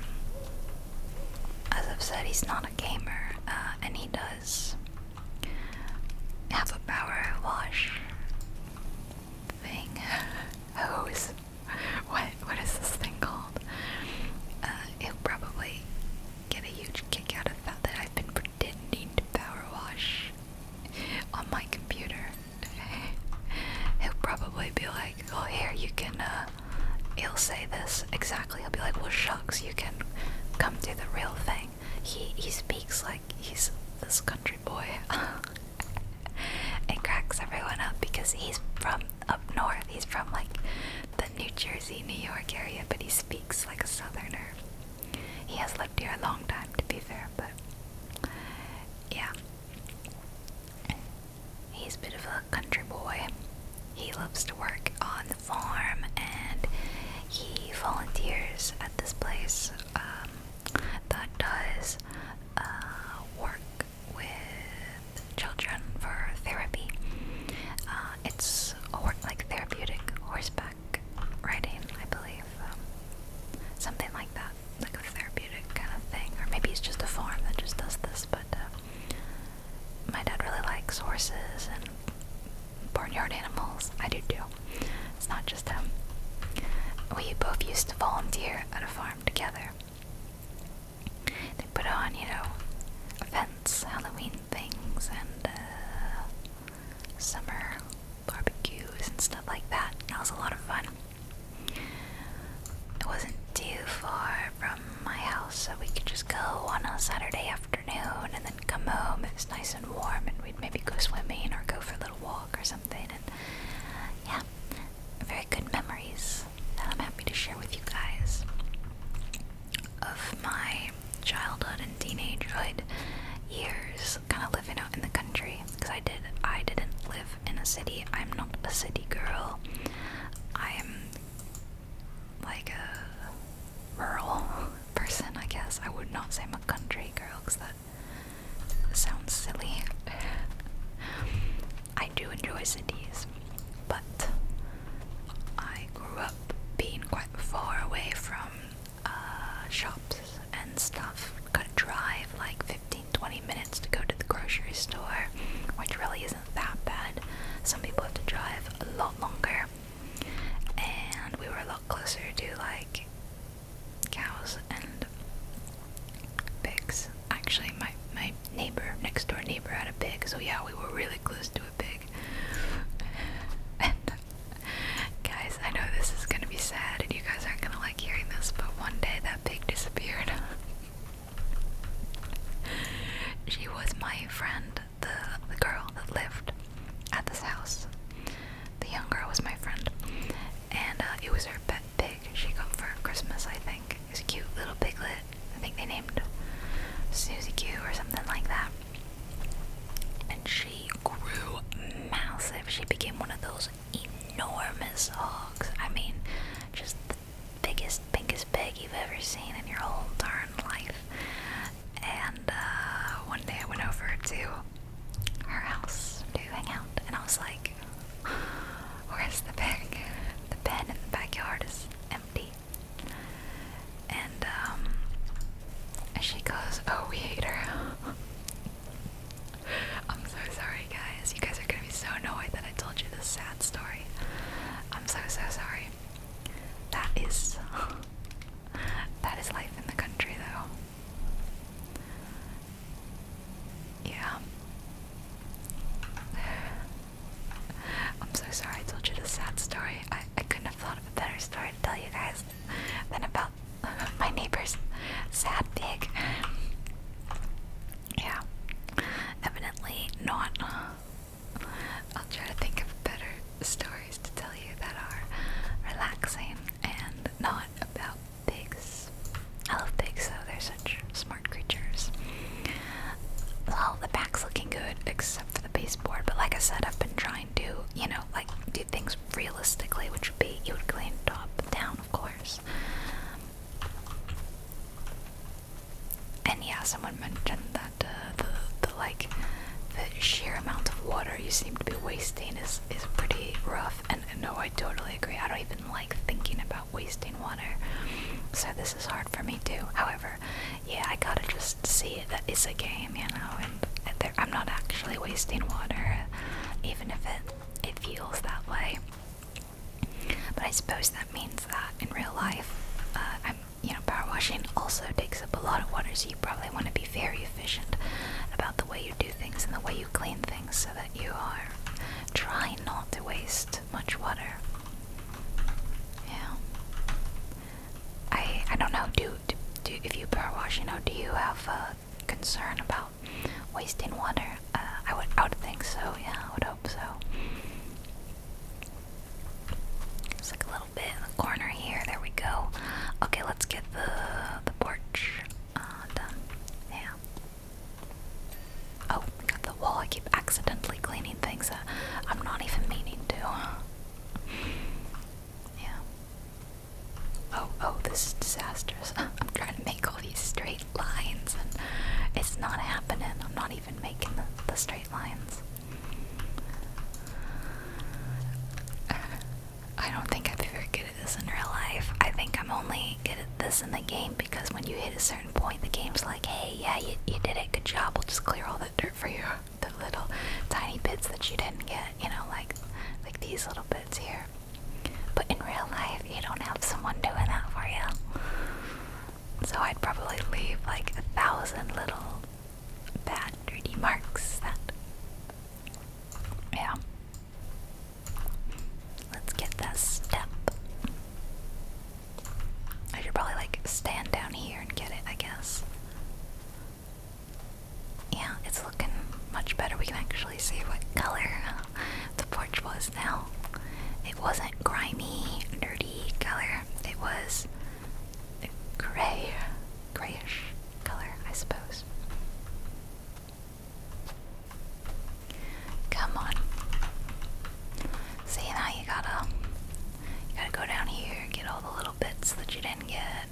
as I've said, he's not a gamer, uh, and he does have a power wash thing, hose. What what is this thing called? Uh, it'll probably get a huge kick out of that that I've been pretending to power wash on my computer. he'll probably be like, "Oh, here you can." Uh, he'll say this exactly. He'll be like, "Well, shucks, you can come do the real thing." like he he speaks like he's this country boy. it cracks everyone up because he's from up north. He's from like the New Jersey, New York area, but he speaks like a southerner. He has lived here a long time, to be fair, but yeah. He's a bit of a country boy. He loves to work on the farm and he volunteers at this place um, that does uh, work with children for therapy. Uh, it's a work like therapeutic horseback riding, I believe. Um, something like that, like a therapeutic kind of thing. Or maybe it's just a farm that just does this, but uh, my dad really likes horses and barnyard animals. I do too. It's not just him. We both used to volunteer at a farm together. They put on, you know, events, Halloween things, and uh, summer barbecues and stuff like that. That was a lot of fun. It wasn't too far from my house, so we could just go on a Saturday afternoon and then come home. It was nice and warm, and we'd maybe go swimming or go for little walk or something. And yeah, very good memories that I'm happy to share with you guys of my childhood and teenagehood years, kind of living out in the country. Because I did, I didn't live in a city. I'm not a city girl. I'm like a rural person, I guess. I would not say I'm a country girl because that Sounds silly. I do enjoy cities, but I grew up being quite far away from uh, shops and stuff. Gotta drive like 15 20 minutes to go to the grocery store, which really isn't that bad. Some people have to drive a lot longer, and we were a lot closer to like cows and pigs. Actually, my my neighbor next door neighbor had a pig, so yeah, we were really close to a pig. and guys, I know this is gonna be sad, and you guys aren't gonna like hearing this, but one day that pig disappeared. she was my friend, the the girl that lived at this house. The young girl was my friend, and uh, it was her pet pig she got for Christmas, I think. It's a cute little piglet. I think they named Susie Q or something like that. And she grew massive. She became one of those enormous hogs. I mean, just the biggest, pinkest pig you've ever seen in your whole darn life. And uh, one day I went over to her house to hang out, and I was like, "Where's the pig? The pen in the backyard is empty." And um, she goes, "Oh, we hate her." I'm so sorry, guys. You guys are gonna be so annoyed that I told you this sad story. I'm so so sorry. That is that is life in the country, though. Yeah. I'm so sorry I told you the sad story. I, I couldn't have thought of a better story to tell you guys than about my neighbor's sad pig. Yeah. Evidently not. I'll try to think of better stories to tell you that are relaxing and not about pigs. I love pigs though, they're such smart creatures. Well, the back's looking good except for the baseboard, but like I said, I've been trying to, you know, like do things realistically, which would be you would clean top down, of course. And yeah, someone mentioned that uh, the the like the sheer amount of water you seem to be wasting is is pretty rough. And no, I totally agree. I don't even like thinking about wasting water. So this is hard for me too. However, yeah, I gotta just see that it's a game, you know, and, I'm not actually wasting water, even if it, it feels that way. But I suppose that means that in real life, uh, you know, power washing also takes up a lot of water, so you probably want to be very efficient about the way you do things and the way you clean things so that you are trying not to waste much water. Yeah. I I don't know. Do do, if you power wash, you do you have a concern about wasting water? Uh, I would I would think so. Yeah, I would hope so. It's like a little bit in the corner here. There we go. Okay, let's get the the porch done. Yeah. Oh, got the wall. I keep accidentally cleaning things. Uh, I'm not even meaning to. yeah. Oh, oh, this is disastrous. I'm trying to make all these straight lines and it's not happening. I'm not even making the, the straight lines. I don't think i am be very good at this in real life. I think I'm only good at this in the game because when you hit a certain point, the game's like, hey, yeah, you, you did it, good job, we'll just clear all the dirt for you, the little tiny bits that you didn't get, you know, like, like these little bits here. But in real life, you don't have someone doing that for you. So I'd probably leave like a thousand little bad, dirty marks that. Yeah, Let's get that step. I should probably like stand down here and get it, I guess. Yeah, it's looking much better. We can actually see what color the porch was now. It wasn't grimy, dirty color. It was a gray, grayish color, I suppose. Come on. See now you gotta gotta go down here, get all the little bits that you didn't get.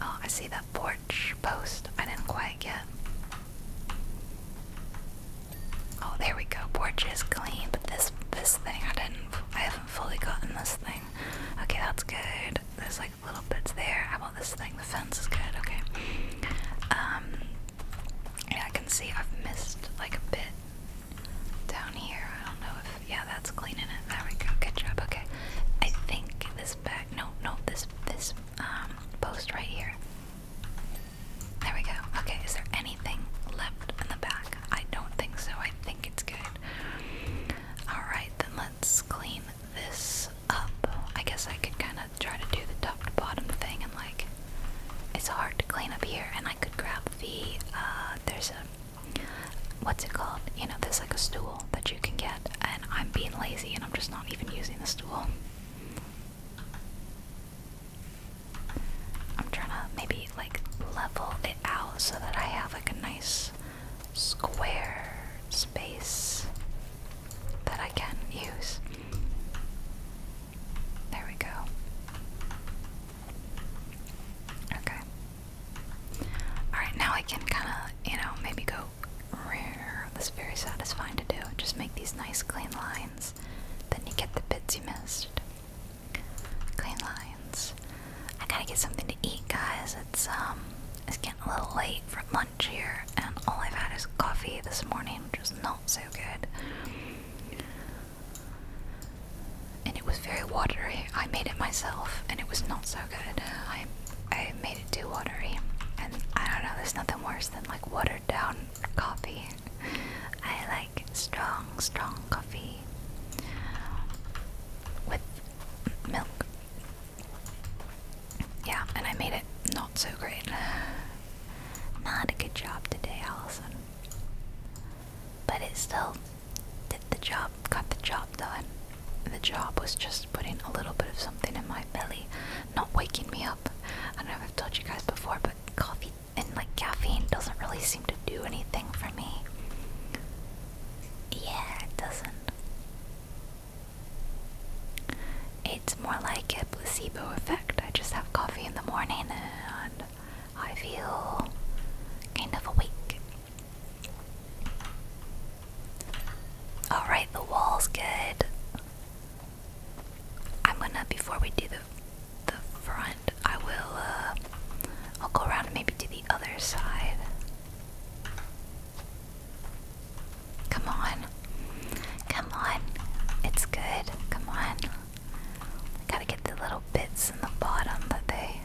Oh, I see that porch post I didn't quite get. Oh, there we go. Porch is clean, but this this thing I didn't I haven't fully gotten this thing. Okay, that's good. There's like little bits there. How about this thing? The fence is good. Okay. Um, yeah, I can see I've missed like a bit down here. I don't know if yeah, that's cleaning it. There we go. Good job. Okay. I think this back. No, no, this this um, post right here. There we go. Okay. Is there anything left in the back? I don't think so. I think it's good. All right. Then let let's clean this up. I guess I could kind of try to do the top to bottom thing and like it's hard to clean up here and I could grab the uh, there's a what's it called? You know, there's like a stool that you can get and I'm being lazy and I'm just not even using the stool. I'm trying to maybe like level it out so that I have like a nice square space that I can use. There we go. Okay. Alright, now I can kind of, you know, maybe go rare. That's very satisfying to do. Just make these nice clean lines. Then you get the bits you missed. Clean lines. I gotta get something to eat, guys. It's um, it's getting a little late for lunch here, and all I've had is coffee this morning, which is not so good. And it was very watery. I made it myself, and it was not so good. I I made it too watery, and I don't know. There's nothing worse than like watered down coffee. I like strong, strong coffee with milk. Yeah, and I made it not so great. Not a good job today, Allison. But it still did the job, got the job done. The job was just putting a little bit of something in my belly, not waking me up. I don't know if I've told you guys before, but coffee and like caffeine doesn't really seem to do anything for me. Yeah, it doesn't. It's more like a placebo effect. I just have coffee in the morning and I feel kind of awake. Alright, the wall's good. I'm gonna, before we do the, the front, I will, uh, I'll go around and maybe do the other side. Come on. Come on. It's good. Come on. Gotta get the little bits in the bottom that they.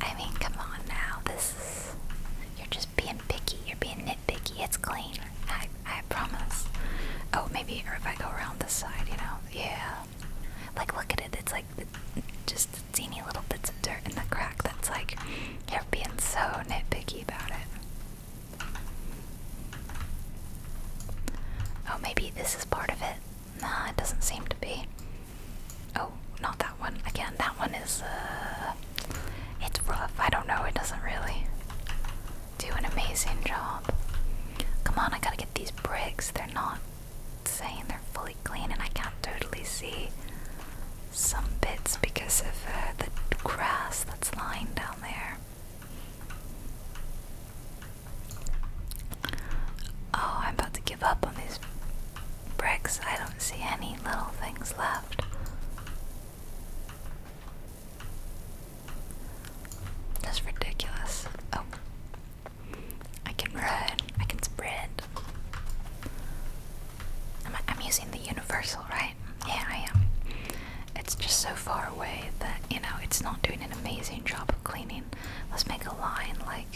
I mean, come on now. This You're just being picky. You're being nitpicky. It's clean. I, I promise. Oh, maybe if I go around this side, you know? Yeah, like, look at it. It's like just teeny little bits of dirt in the crack. That's like you're being so nitpicky about it. Oh, maybe this is part of it. Nah, it doesn't seem to be. Oh, not that one. Again, that one is, uh, it's rough. I don't know. It doesn't really do an amazing job. Come on, I gotta get these bricks, they're not saying they're fully clean, and I can't totally see some bits because of uh, the grass that's lying down there. Oh, I'm about to give up on these bricks. I don't see any little things left. That's ridiculous. Oh, I can run, I can sprint. I'm, using the universal, right? Yeah, I am. It's just so far away that, you know, it's not doing an amazing job of cleaning. Let's make a line like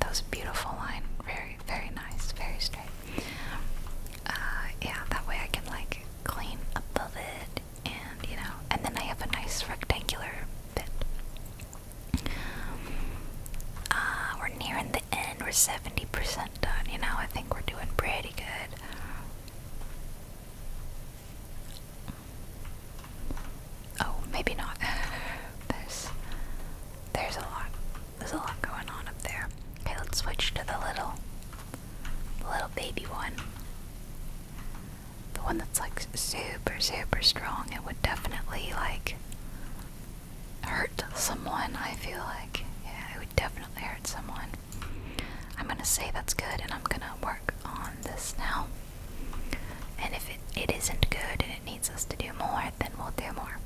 that was a beautiful line. Very, very nice, very straight. Uh, yeah, that way I can like clean above it, and you know, and then I have a nice rectangular bit. Uh, we're nearing the end, we're 70% done, you know, I think we're doing pretty good. Oh, maybe not. there's there's a lot. There's a lot going on up there. Okay, let's switch to the little little baby one the one that's like super super strong it would definitely like hurt someone i feel like yeah it would definitely hurt someone i'm gonna say that's good and i'm gonna work on this now and if it, it isn't good and it needs us to do more then we'll do more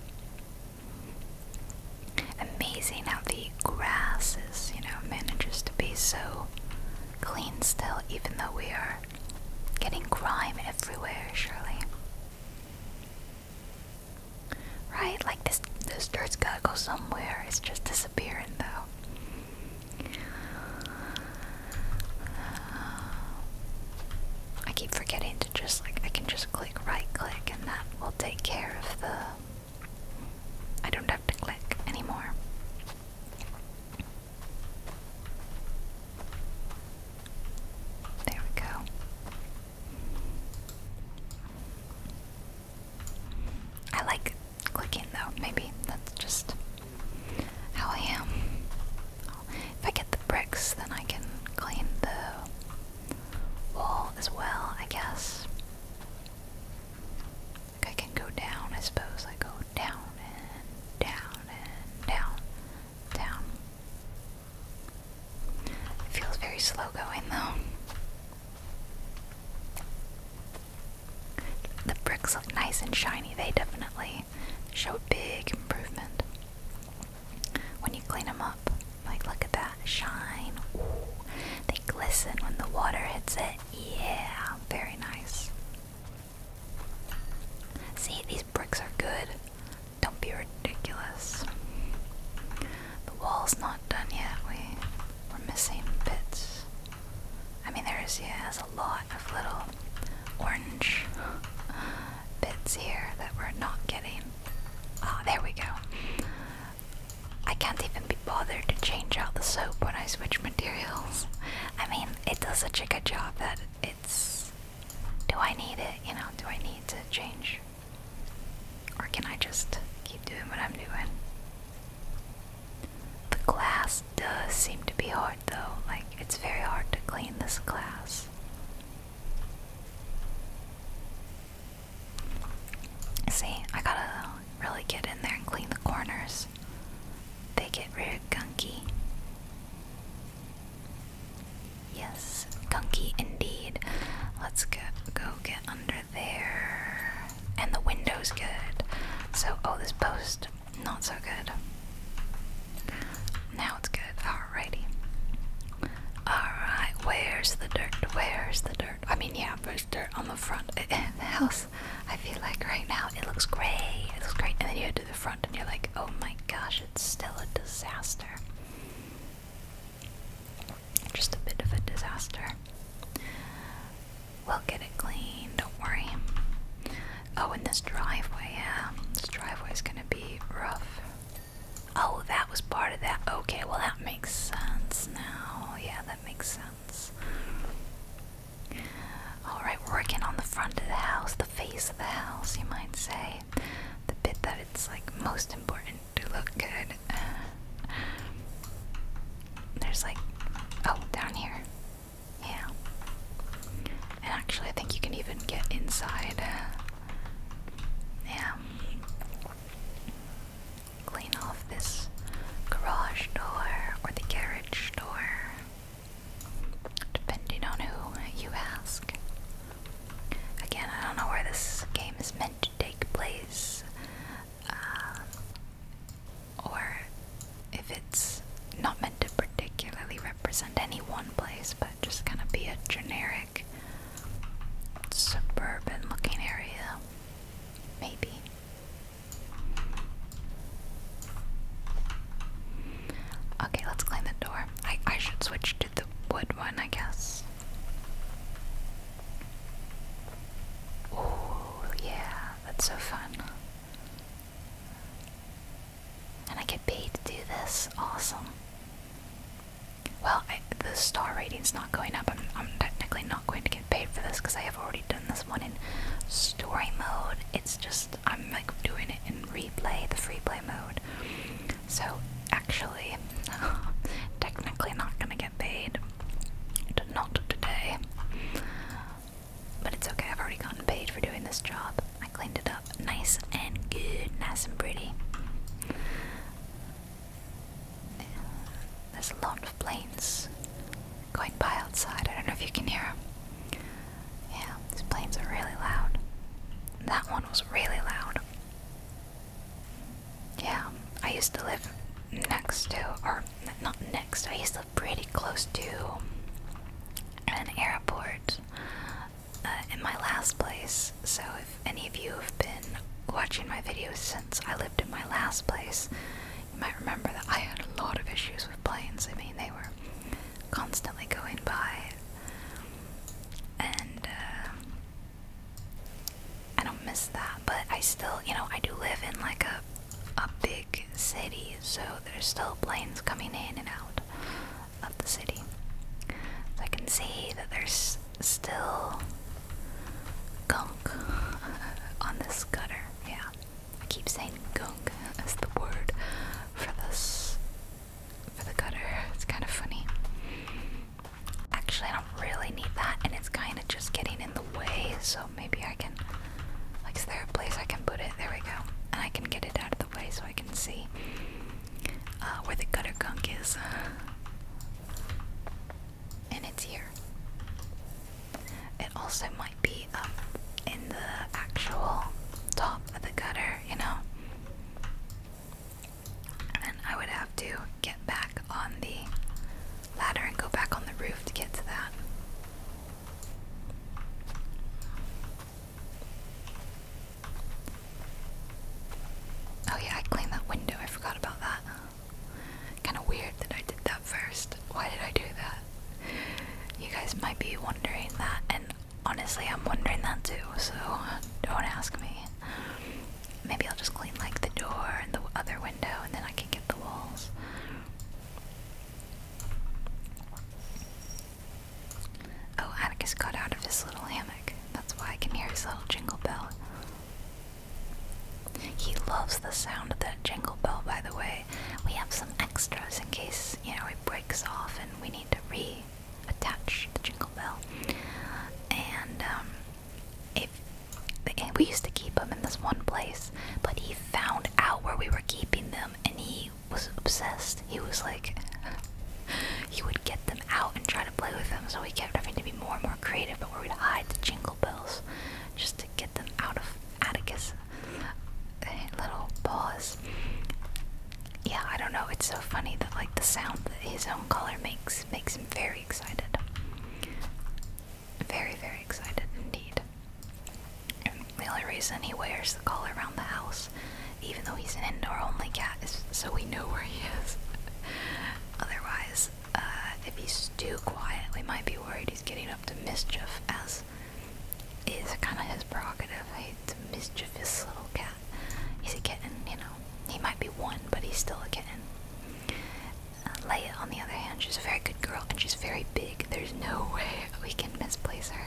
amazing how the grass is you know manages to be so clean still even though we are getting crime everywhere, surely. Right, like this this dirt's gotta go somewhere. It's just disappearing though. I keep forgetting to just like I can just click right click and that will take care of the I don't have to click anymore. There we go. I like clicking though, maybe that's just how I am. If I get the bricks, then I can clean the wall as well, I guess. Like I can go down, I suppose. I go down and down and down, down. It feels very slow going though. The bricks look nice and shiny. They definitely show big improvement when you clean them up. Like, look at that shine. Ooh, they glisten when the water hits it. Yeah, very nice. See, these bricks are good. Don't be ridiculous. The wall's not done yet. We, we're missing bits. I mean, there's, yeah, there's a lot of little orange bits here that we're not getting. Ah, there we go. I can't even be bothered to change out the soap when I switch materials. I mean, it does such a good job that it's. Do I need it? You know, do I need to change? Or can I just keep doing what I'm doing? The glass does seem to be hard though. Like, it's very hard to clean this glass. See, I gotta really get in there and clean the corners. They get real gunky. Yes, gunky indeed. Let's go, go get under there. And the window's good. So, oh, this post, not so good. Now it's good. Alrighty. Alright, where's the dirt? Where's the dirt? I mean, yeah, there's dirt on the front house. I feel like right now it looks great. it looks great, and then you go to the front and you're like, oh my gosh, it's still a disaster. Just a bit of a disaster. We'll get it clean, don't worry. Oh, and this driveway, yeah, this driveway is gonna be rough. Oh, that was part of that. Okay, well, that makes sense now. Oh Yeah, that makes sense. Alright, we're working on the front of the house, the face of the house, you might say. The bit that it's like most important to look good. There's like, oh, down here. Yeah. And actually, I think you can even get inside. Uh, yeah. Clean off this garage door or the garage door depending on who you ask. Again, I don't know where this game is meant to take place, uh, or if it's not meant to particularly represent any one place, but just kind of be a generic suburban looking area. Maybe. Okay, let's climb the door. I, I should switch to the wood one, I guess. Oh, yeah, that's so fun. And I get paid to do this. Awesome. Well, the star rating's not going up. I'm, I'm technically not going to get paid for this because I have already done this one in story mode. It's just I'm like doing it in replay, the free play mode. So actually, technically not gonna get paid. Not today. But it's okay, I've already gotten paid for doing this job. I cleaned it up nice and good, nice and pretty. There's a lot of planes going by outside. I don't know if you can hear them. Yeah, these planes are really loud. That one was really loud. Yeah, I used to live next to, or not next, I used to live pretty close to an airport uh, in my last place. So, if any of you have been watching my videos since I lived in my last place, you might remember that I had a lot of issues with planes. I mean, they were constantly going by, and uh, I don't miss that. But I still, you know, I do live in like a a big city, so there's still planes coming in and out of the city. I can see that there's still gunk on this gutter. Yeah. I keep saying gunk as the word for this for the gutter. It's kind of funny. Actually, I don't really need that, and it's kind of just getting in the way. So maybe I can. Like, is there a place I can put it? There we go. And I can get it out of the way so I can see uh, where the gutter gunk is. And it's here. It also might be up um, in the actual top of the gutter, you know? And I would have to get back on the ladder and go back on the roof to get to that. Oh, yeah, I cleaned that window. I forgot about that. Kind of weird that I did that first. Why did I do that? You guys might be wondering that, and honestly, I'm wondering that too, so don't ask me. Maybe I'll just clean like the door and the other window, and then I can get the walls. Oh, Atticus got out of his little hammock. That's why I can hear his little jingle bell. He loves the sound of that jingle bell, by the way we have some extras in case you know it breaks off and we need to reattach the jingle bell. And um, and we used to keep them in this one place, but he found out where we were keeping them, and he was obsessed. He was like, he would get them out and try to play with them. So we kept having to be more and more creative, but where we'd hide the jingle bells just to get them out of Atticus little paws. Yeah, I don't know. It's so funny that like the sound that his own color makes makes him very excited. Very, very excited indeed. the only reason he wears the collar around the house, even though he's an indoor-only cat, is so we know where he is. Otherwise, uh, if he's too quiet, we might be worried he's getting up to mischief, as is kind of his prerogative. He's a mischievous little cat. He's a kitten, you know. He might be one, but he's still a kitten. Uh, on the other hand, she's a very good girl and she's very big. There's no way we can misplace her.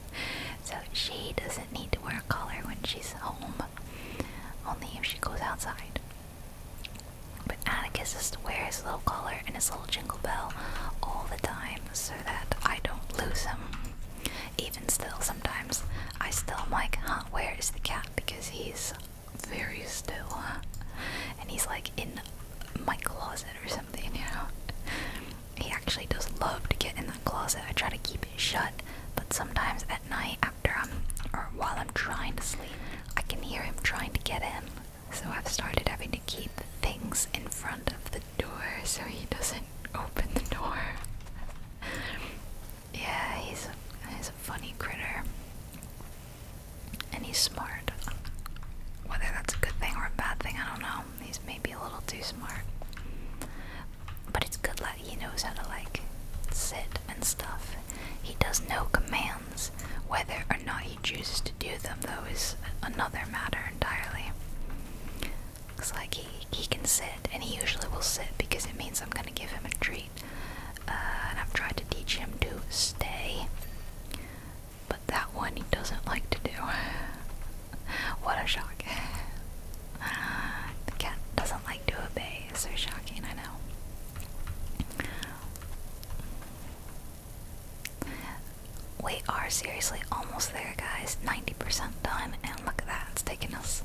so she doesn't need to wear a collar when she's home, only if she goes outside. But Atticus is to wear his little collar and his little jingle bell all the time so that I don't lose him. Even still, sometimes I still am like, huh, where is the cat? Because he's very still, And he's like in my closet or something, He actually does love to get in that closet. I try to keep it shut, but sometimes at night after I'm, or while I'm trying to sleep, I can hear him trying to get in so I've started having to keep things in front of the door so he doesn't open the door. yeah, he's a, he's a funny critter. And he's smart. Whether that's a good thing or a bad thing, I don't know. He's maybe a little too smart. But it's good that he knows how to, like, sit and stuff. He does know commands, whether or not chooses to do them, though, is another matter entirely. Looks like he, he can sit, and he usually will sit because it means I'm gonna give him a treat. Uh, and I've tried to teach him to stay, but that one he doesn't like to do. what a shock. the cat doesn't like to obey, it's so shocking, I know. We are seriously almost there, guys. 90% done, and look at that, it's taken us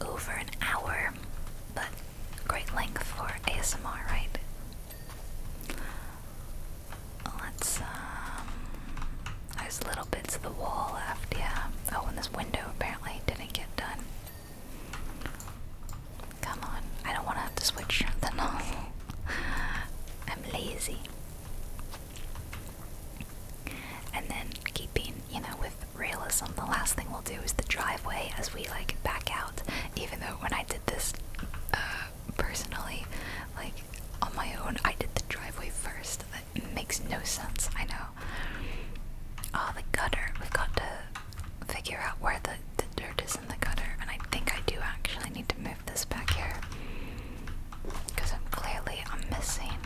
over an hour, but great length for ASMR, right? Let's, um, there's little bits of the wall left, yeah. Oh, and this window apparently didn't get done. Come on, I don't want to have to switch the nozzle. I'm lazy. And then keeping, you know, with realism, the last thing we'll do is the driveway as we like back out. Even though when I did this uh, personally, like on my own, I did the driveway first. That makes no sense, I know. Oh, the gutter. We've got to figure out where the, dirt is in the gutter, and I think I do actually need to move this back here. Because I'm clearly I'm missing.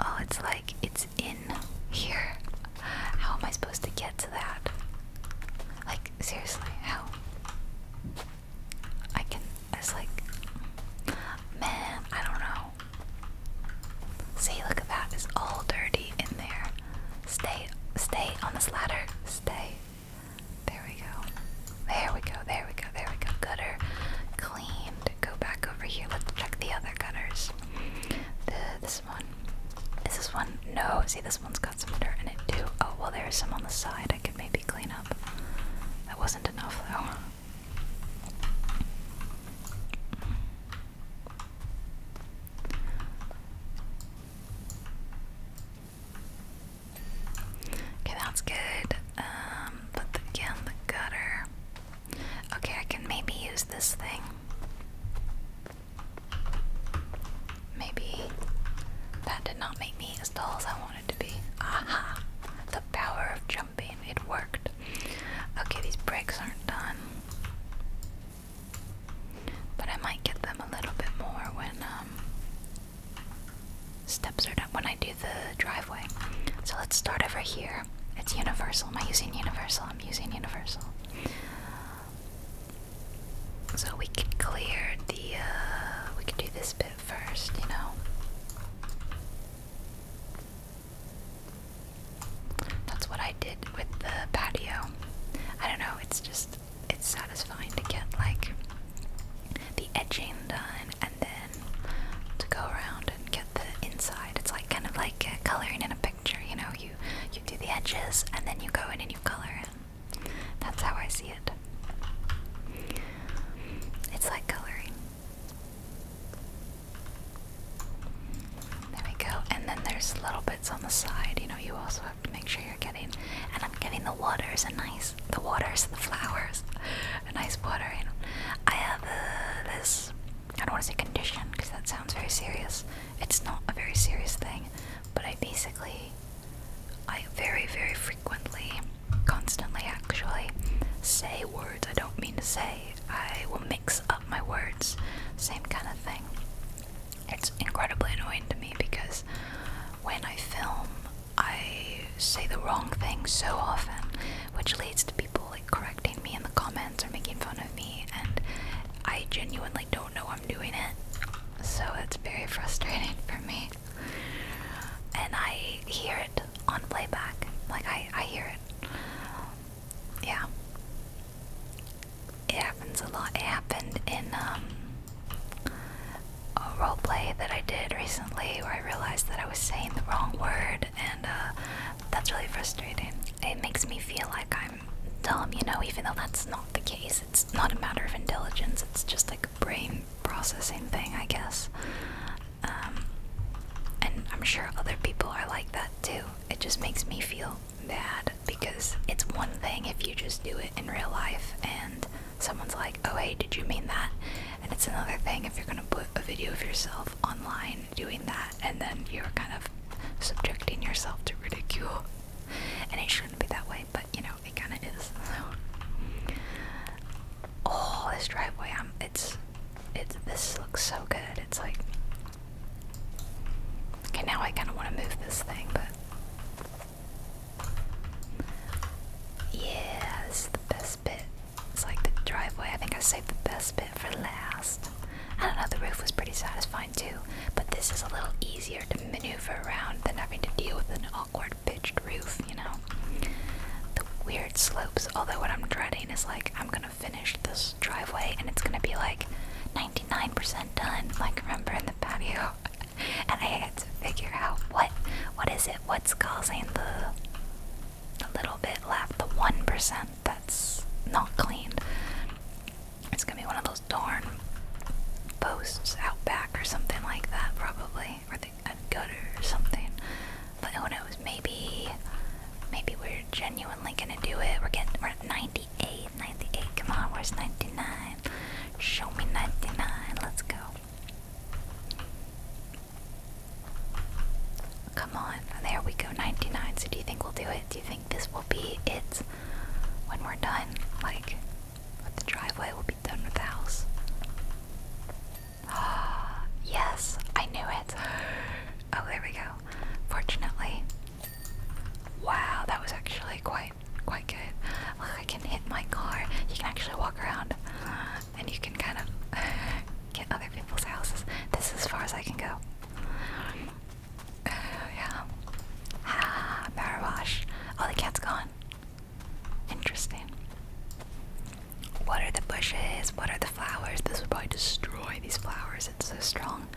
Oh, it's like it's in here. How am I supposed to get to that? Like, seriously, how? I can, it's like, man, I don't know. See, look at that. It's all dirty in there. Stay, stay on this ladder. Stay. There we go. There we go. There we go. There we go. Gutter cleaned. Go back over here. Let's check the other gutters. this one. Is this one? No. See, this one's got some dirt in it too. Oh, well, there's some on the side I could maybe clean up. That wasn't enough though. Okay, that's good. put um, the, again the gutter. Okay, I can maybe use this thing. Maybe that did not make me as tall as I wanted to be. Aha! The power of jumping. It worked. Okay, these bricks aren't done. But I might get them a little bit more when um, steps are done, when I do the driveway. So let's start over here. It's universal. Am I using universal? I'm using universal. So we can clear the, uh, we can do this bit first, you know? That's what I did with the patio. I don't know, it's just it's satisfying to get like the edging done and then to go around and get the inside. It's like kind of like uh, coloring in a picture, you know, you you do the edges and then you go in and you color it. That's how I see it. It's like coloring. There we go. And then there's little bits on the side. You know, you also have to make sure you're getting. And I'm getting the waters a nice. The waters, the flowers, a nice watering. I have uh, this. I don't want to say condition because that sounds very serious. It's not a very serious thing, but I basically, I very, very frequently, constantly actually, say words I don't mean to say. I will mix up my words, same kind of thing. It's incredibly annoying to me because when I film, I say the wrong thing so often, which leads to people like correcting me in the comments or making fun of me, and I genuinely don't know I'm doing it. So it's very frustrating for me. And I hear it on playback. Like, I, I hear it yeah. It happens a lot. It happened in um, a role play that I did recently where I realized that I was saying the wrong word, and uh, that's really frustrating. It makes me feel like I'm dumb, you know, even though that's not the case. It's not a matter of intelligence, it's just like a brain processing thing, I guess. Um, and I'm sure other people are like that too. It just makes me feel bad because it's one thing if you just do it in real life and someone's like, oh hey, did you mean that? And it's another thing if you're gonna put a video of yourself online doing that and then you're kind of subjecting yourself to ridicule. And it shouldn't be that way, but you know, it kinda is. Oh, this driveway, I'm it's it's this looks so good. It's like Okay, now I kind of want to move this thing, but. Yeah, this is the best bit. It's like the driveway. I think I saved the best bit for last. I don't know, the roof was pretty satisfying too, but this is a little easier to maneuver around than having to deal with an awkward pitched roof, you know? The weird slopes, although what I'm dreading is like I'm gonna finish this driveway and it's gonna be like 99% done, like remember in the patio. and I had to figure out what what is it, what's causing the a little bit left, the 1% that's not cleaned. It's gonna be one of those darn posts out back or something like that, probably, or the, gutter or something. But I know it was Maybe, maybe we're genuinely gonna do it. We're getting we're at 90% 98, 98. Come on, where's 99? Show me 99. Let's go. Come on. There we go, 99. So do you think we'll do it? Do you think this will be it when we're done? Like, with the driveway, we'll be done with the house. Ah, yes, I knew it. Oh, there we go. Fortunately, Wow, that was actually quite quite good. Look, I can hit my car. You can actually walk around, and you can kind of get other people's houses. This is as far as I can go. Uh, yeah. Ah, power wash. Oh, the cat's gone. Interesting. What are the bushes? What are the flowers? This would probably destroy these flowers. It's so strong.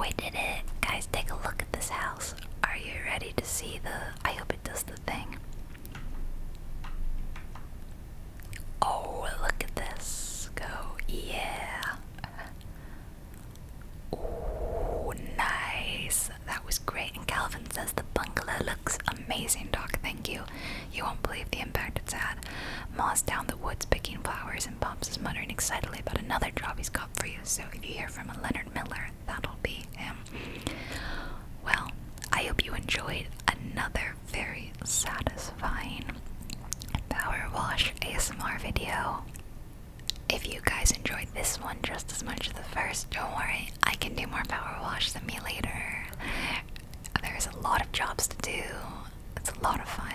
We did it! Guys, take a look at this house. Are you ready to see the. I hope it does the thing. Oh, look at this. Go. Yeah. Oh, nice. That was great. And Calvin says the bungalow looks amazing, Doc. Thank you. You won't believe the impact it's had. Moss down the woods picking flowers Pops is muttering excitedly about another job he's got for you, so if you hear from a Leonard Miller, that'll be him. Well, I hope you enjoyed another very satisfying power wash ASMR video. If you guys enjoyed this one just as much as the first, don't worry, I can do more power wash than me later. There's a lot of jobs to do. That's a lot of fun.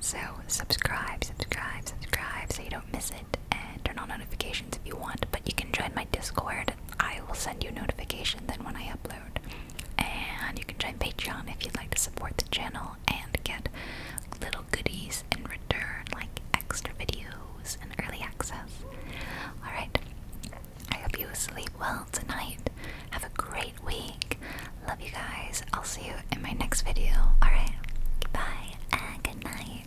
So subscribe, subscribe, subscribe so you don't miss it and turn on notifications if you want, but you can join my Discord. I will send you a notification then when I upload. And you can join Patreon if you'd like to support the channel and get little goodies in return, like extra videos and early access. Alright. I hope you sleep well tonight. Have a great week. Love you guys. I'll see you in my next video. Alright, goodbye and good night.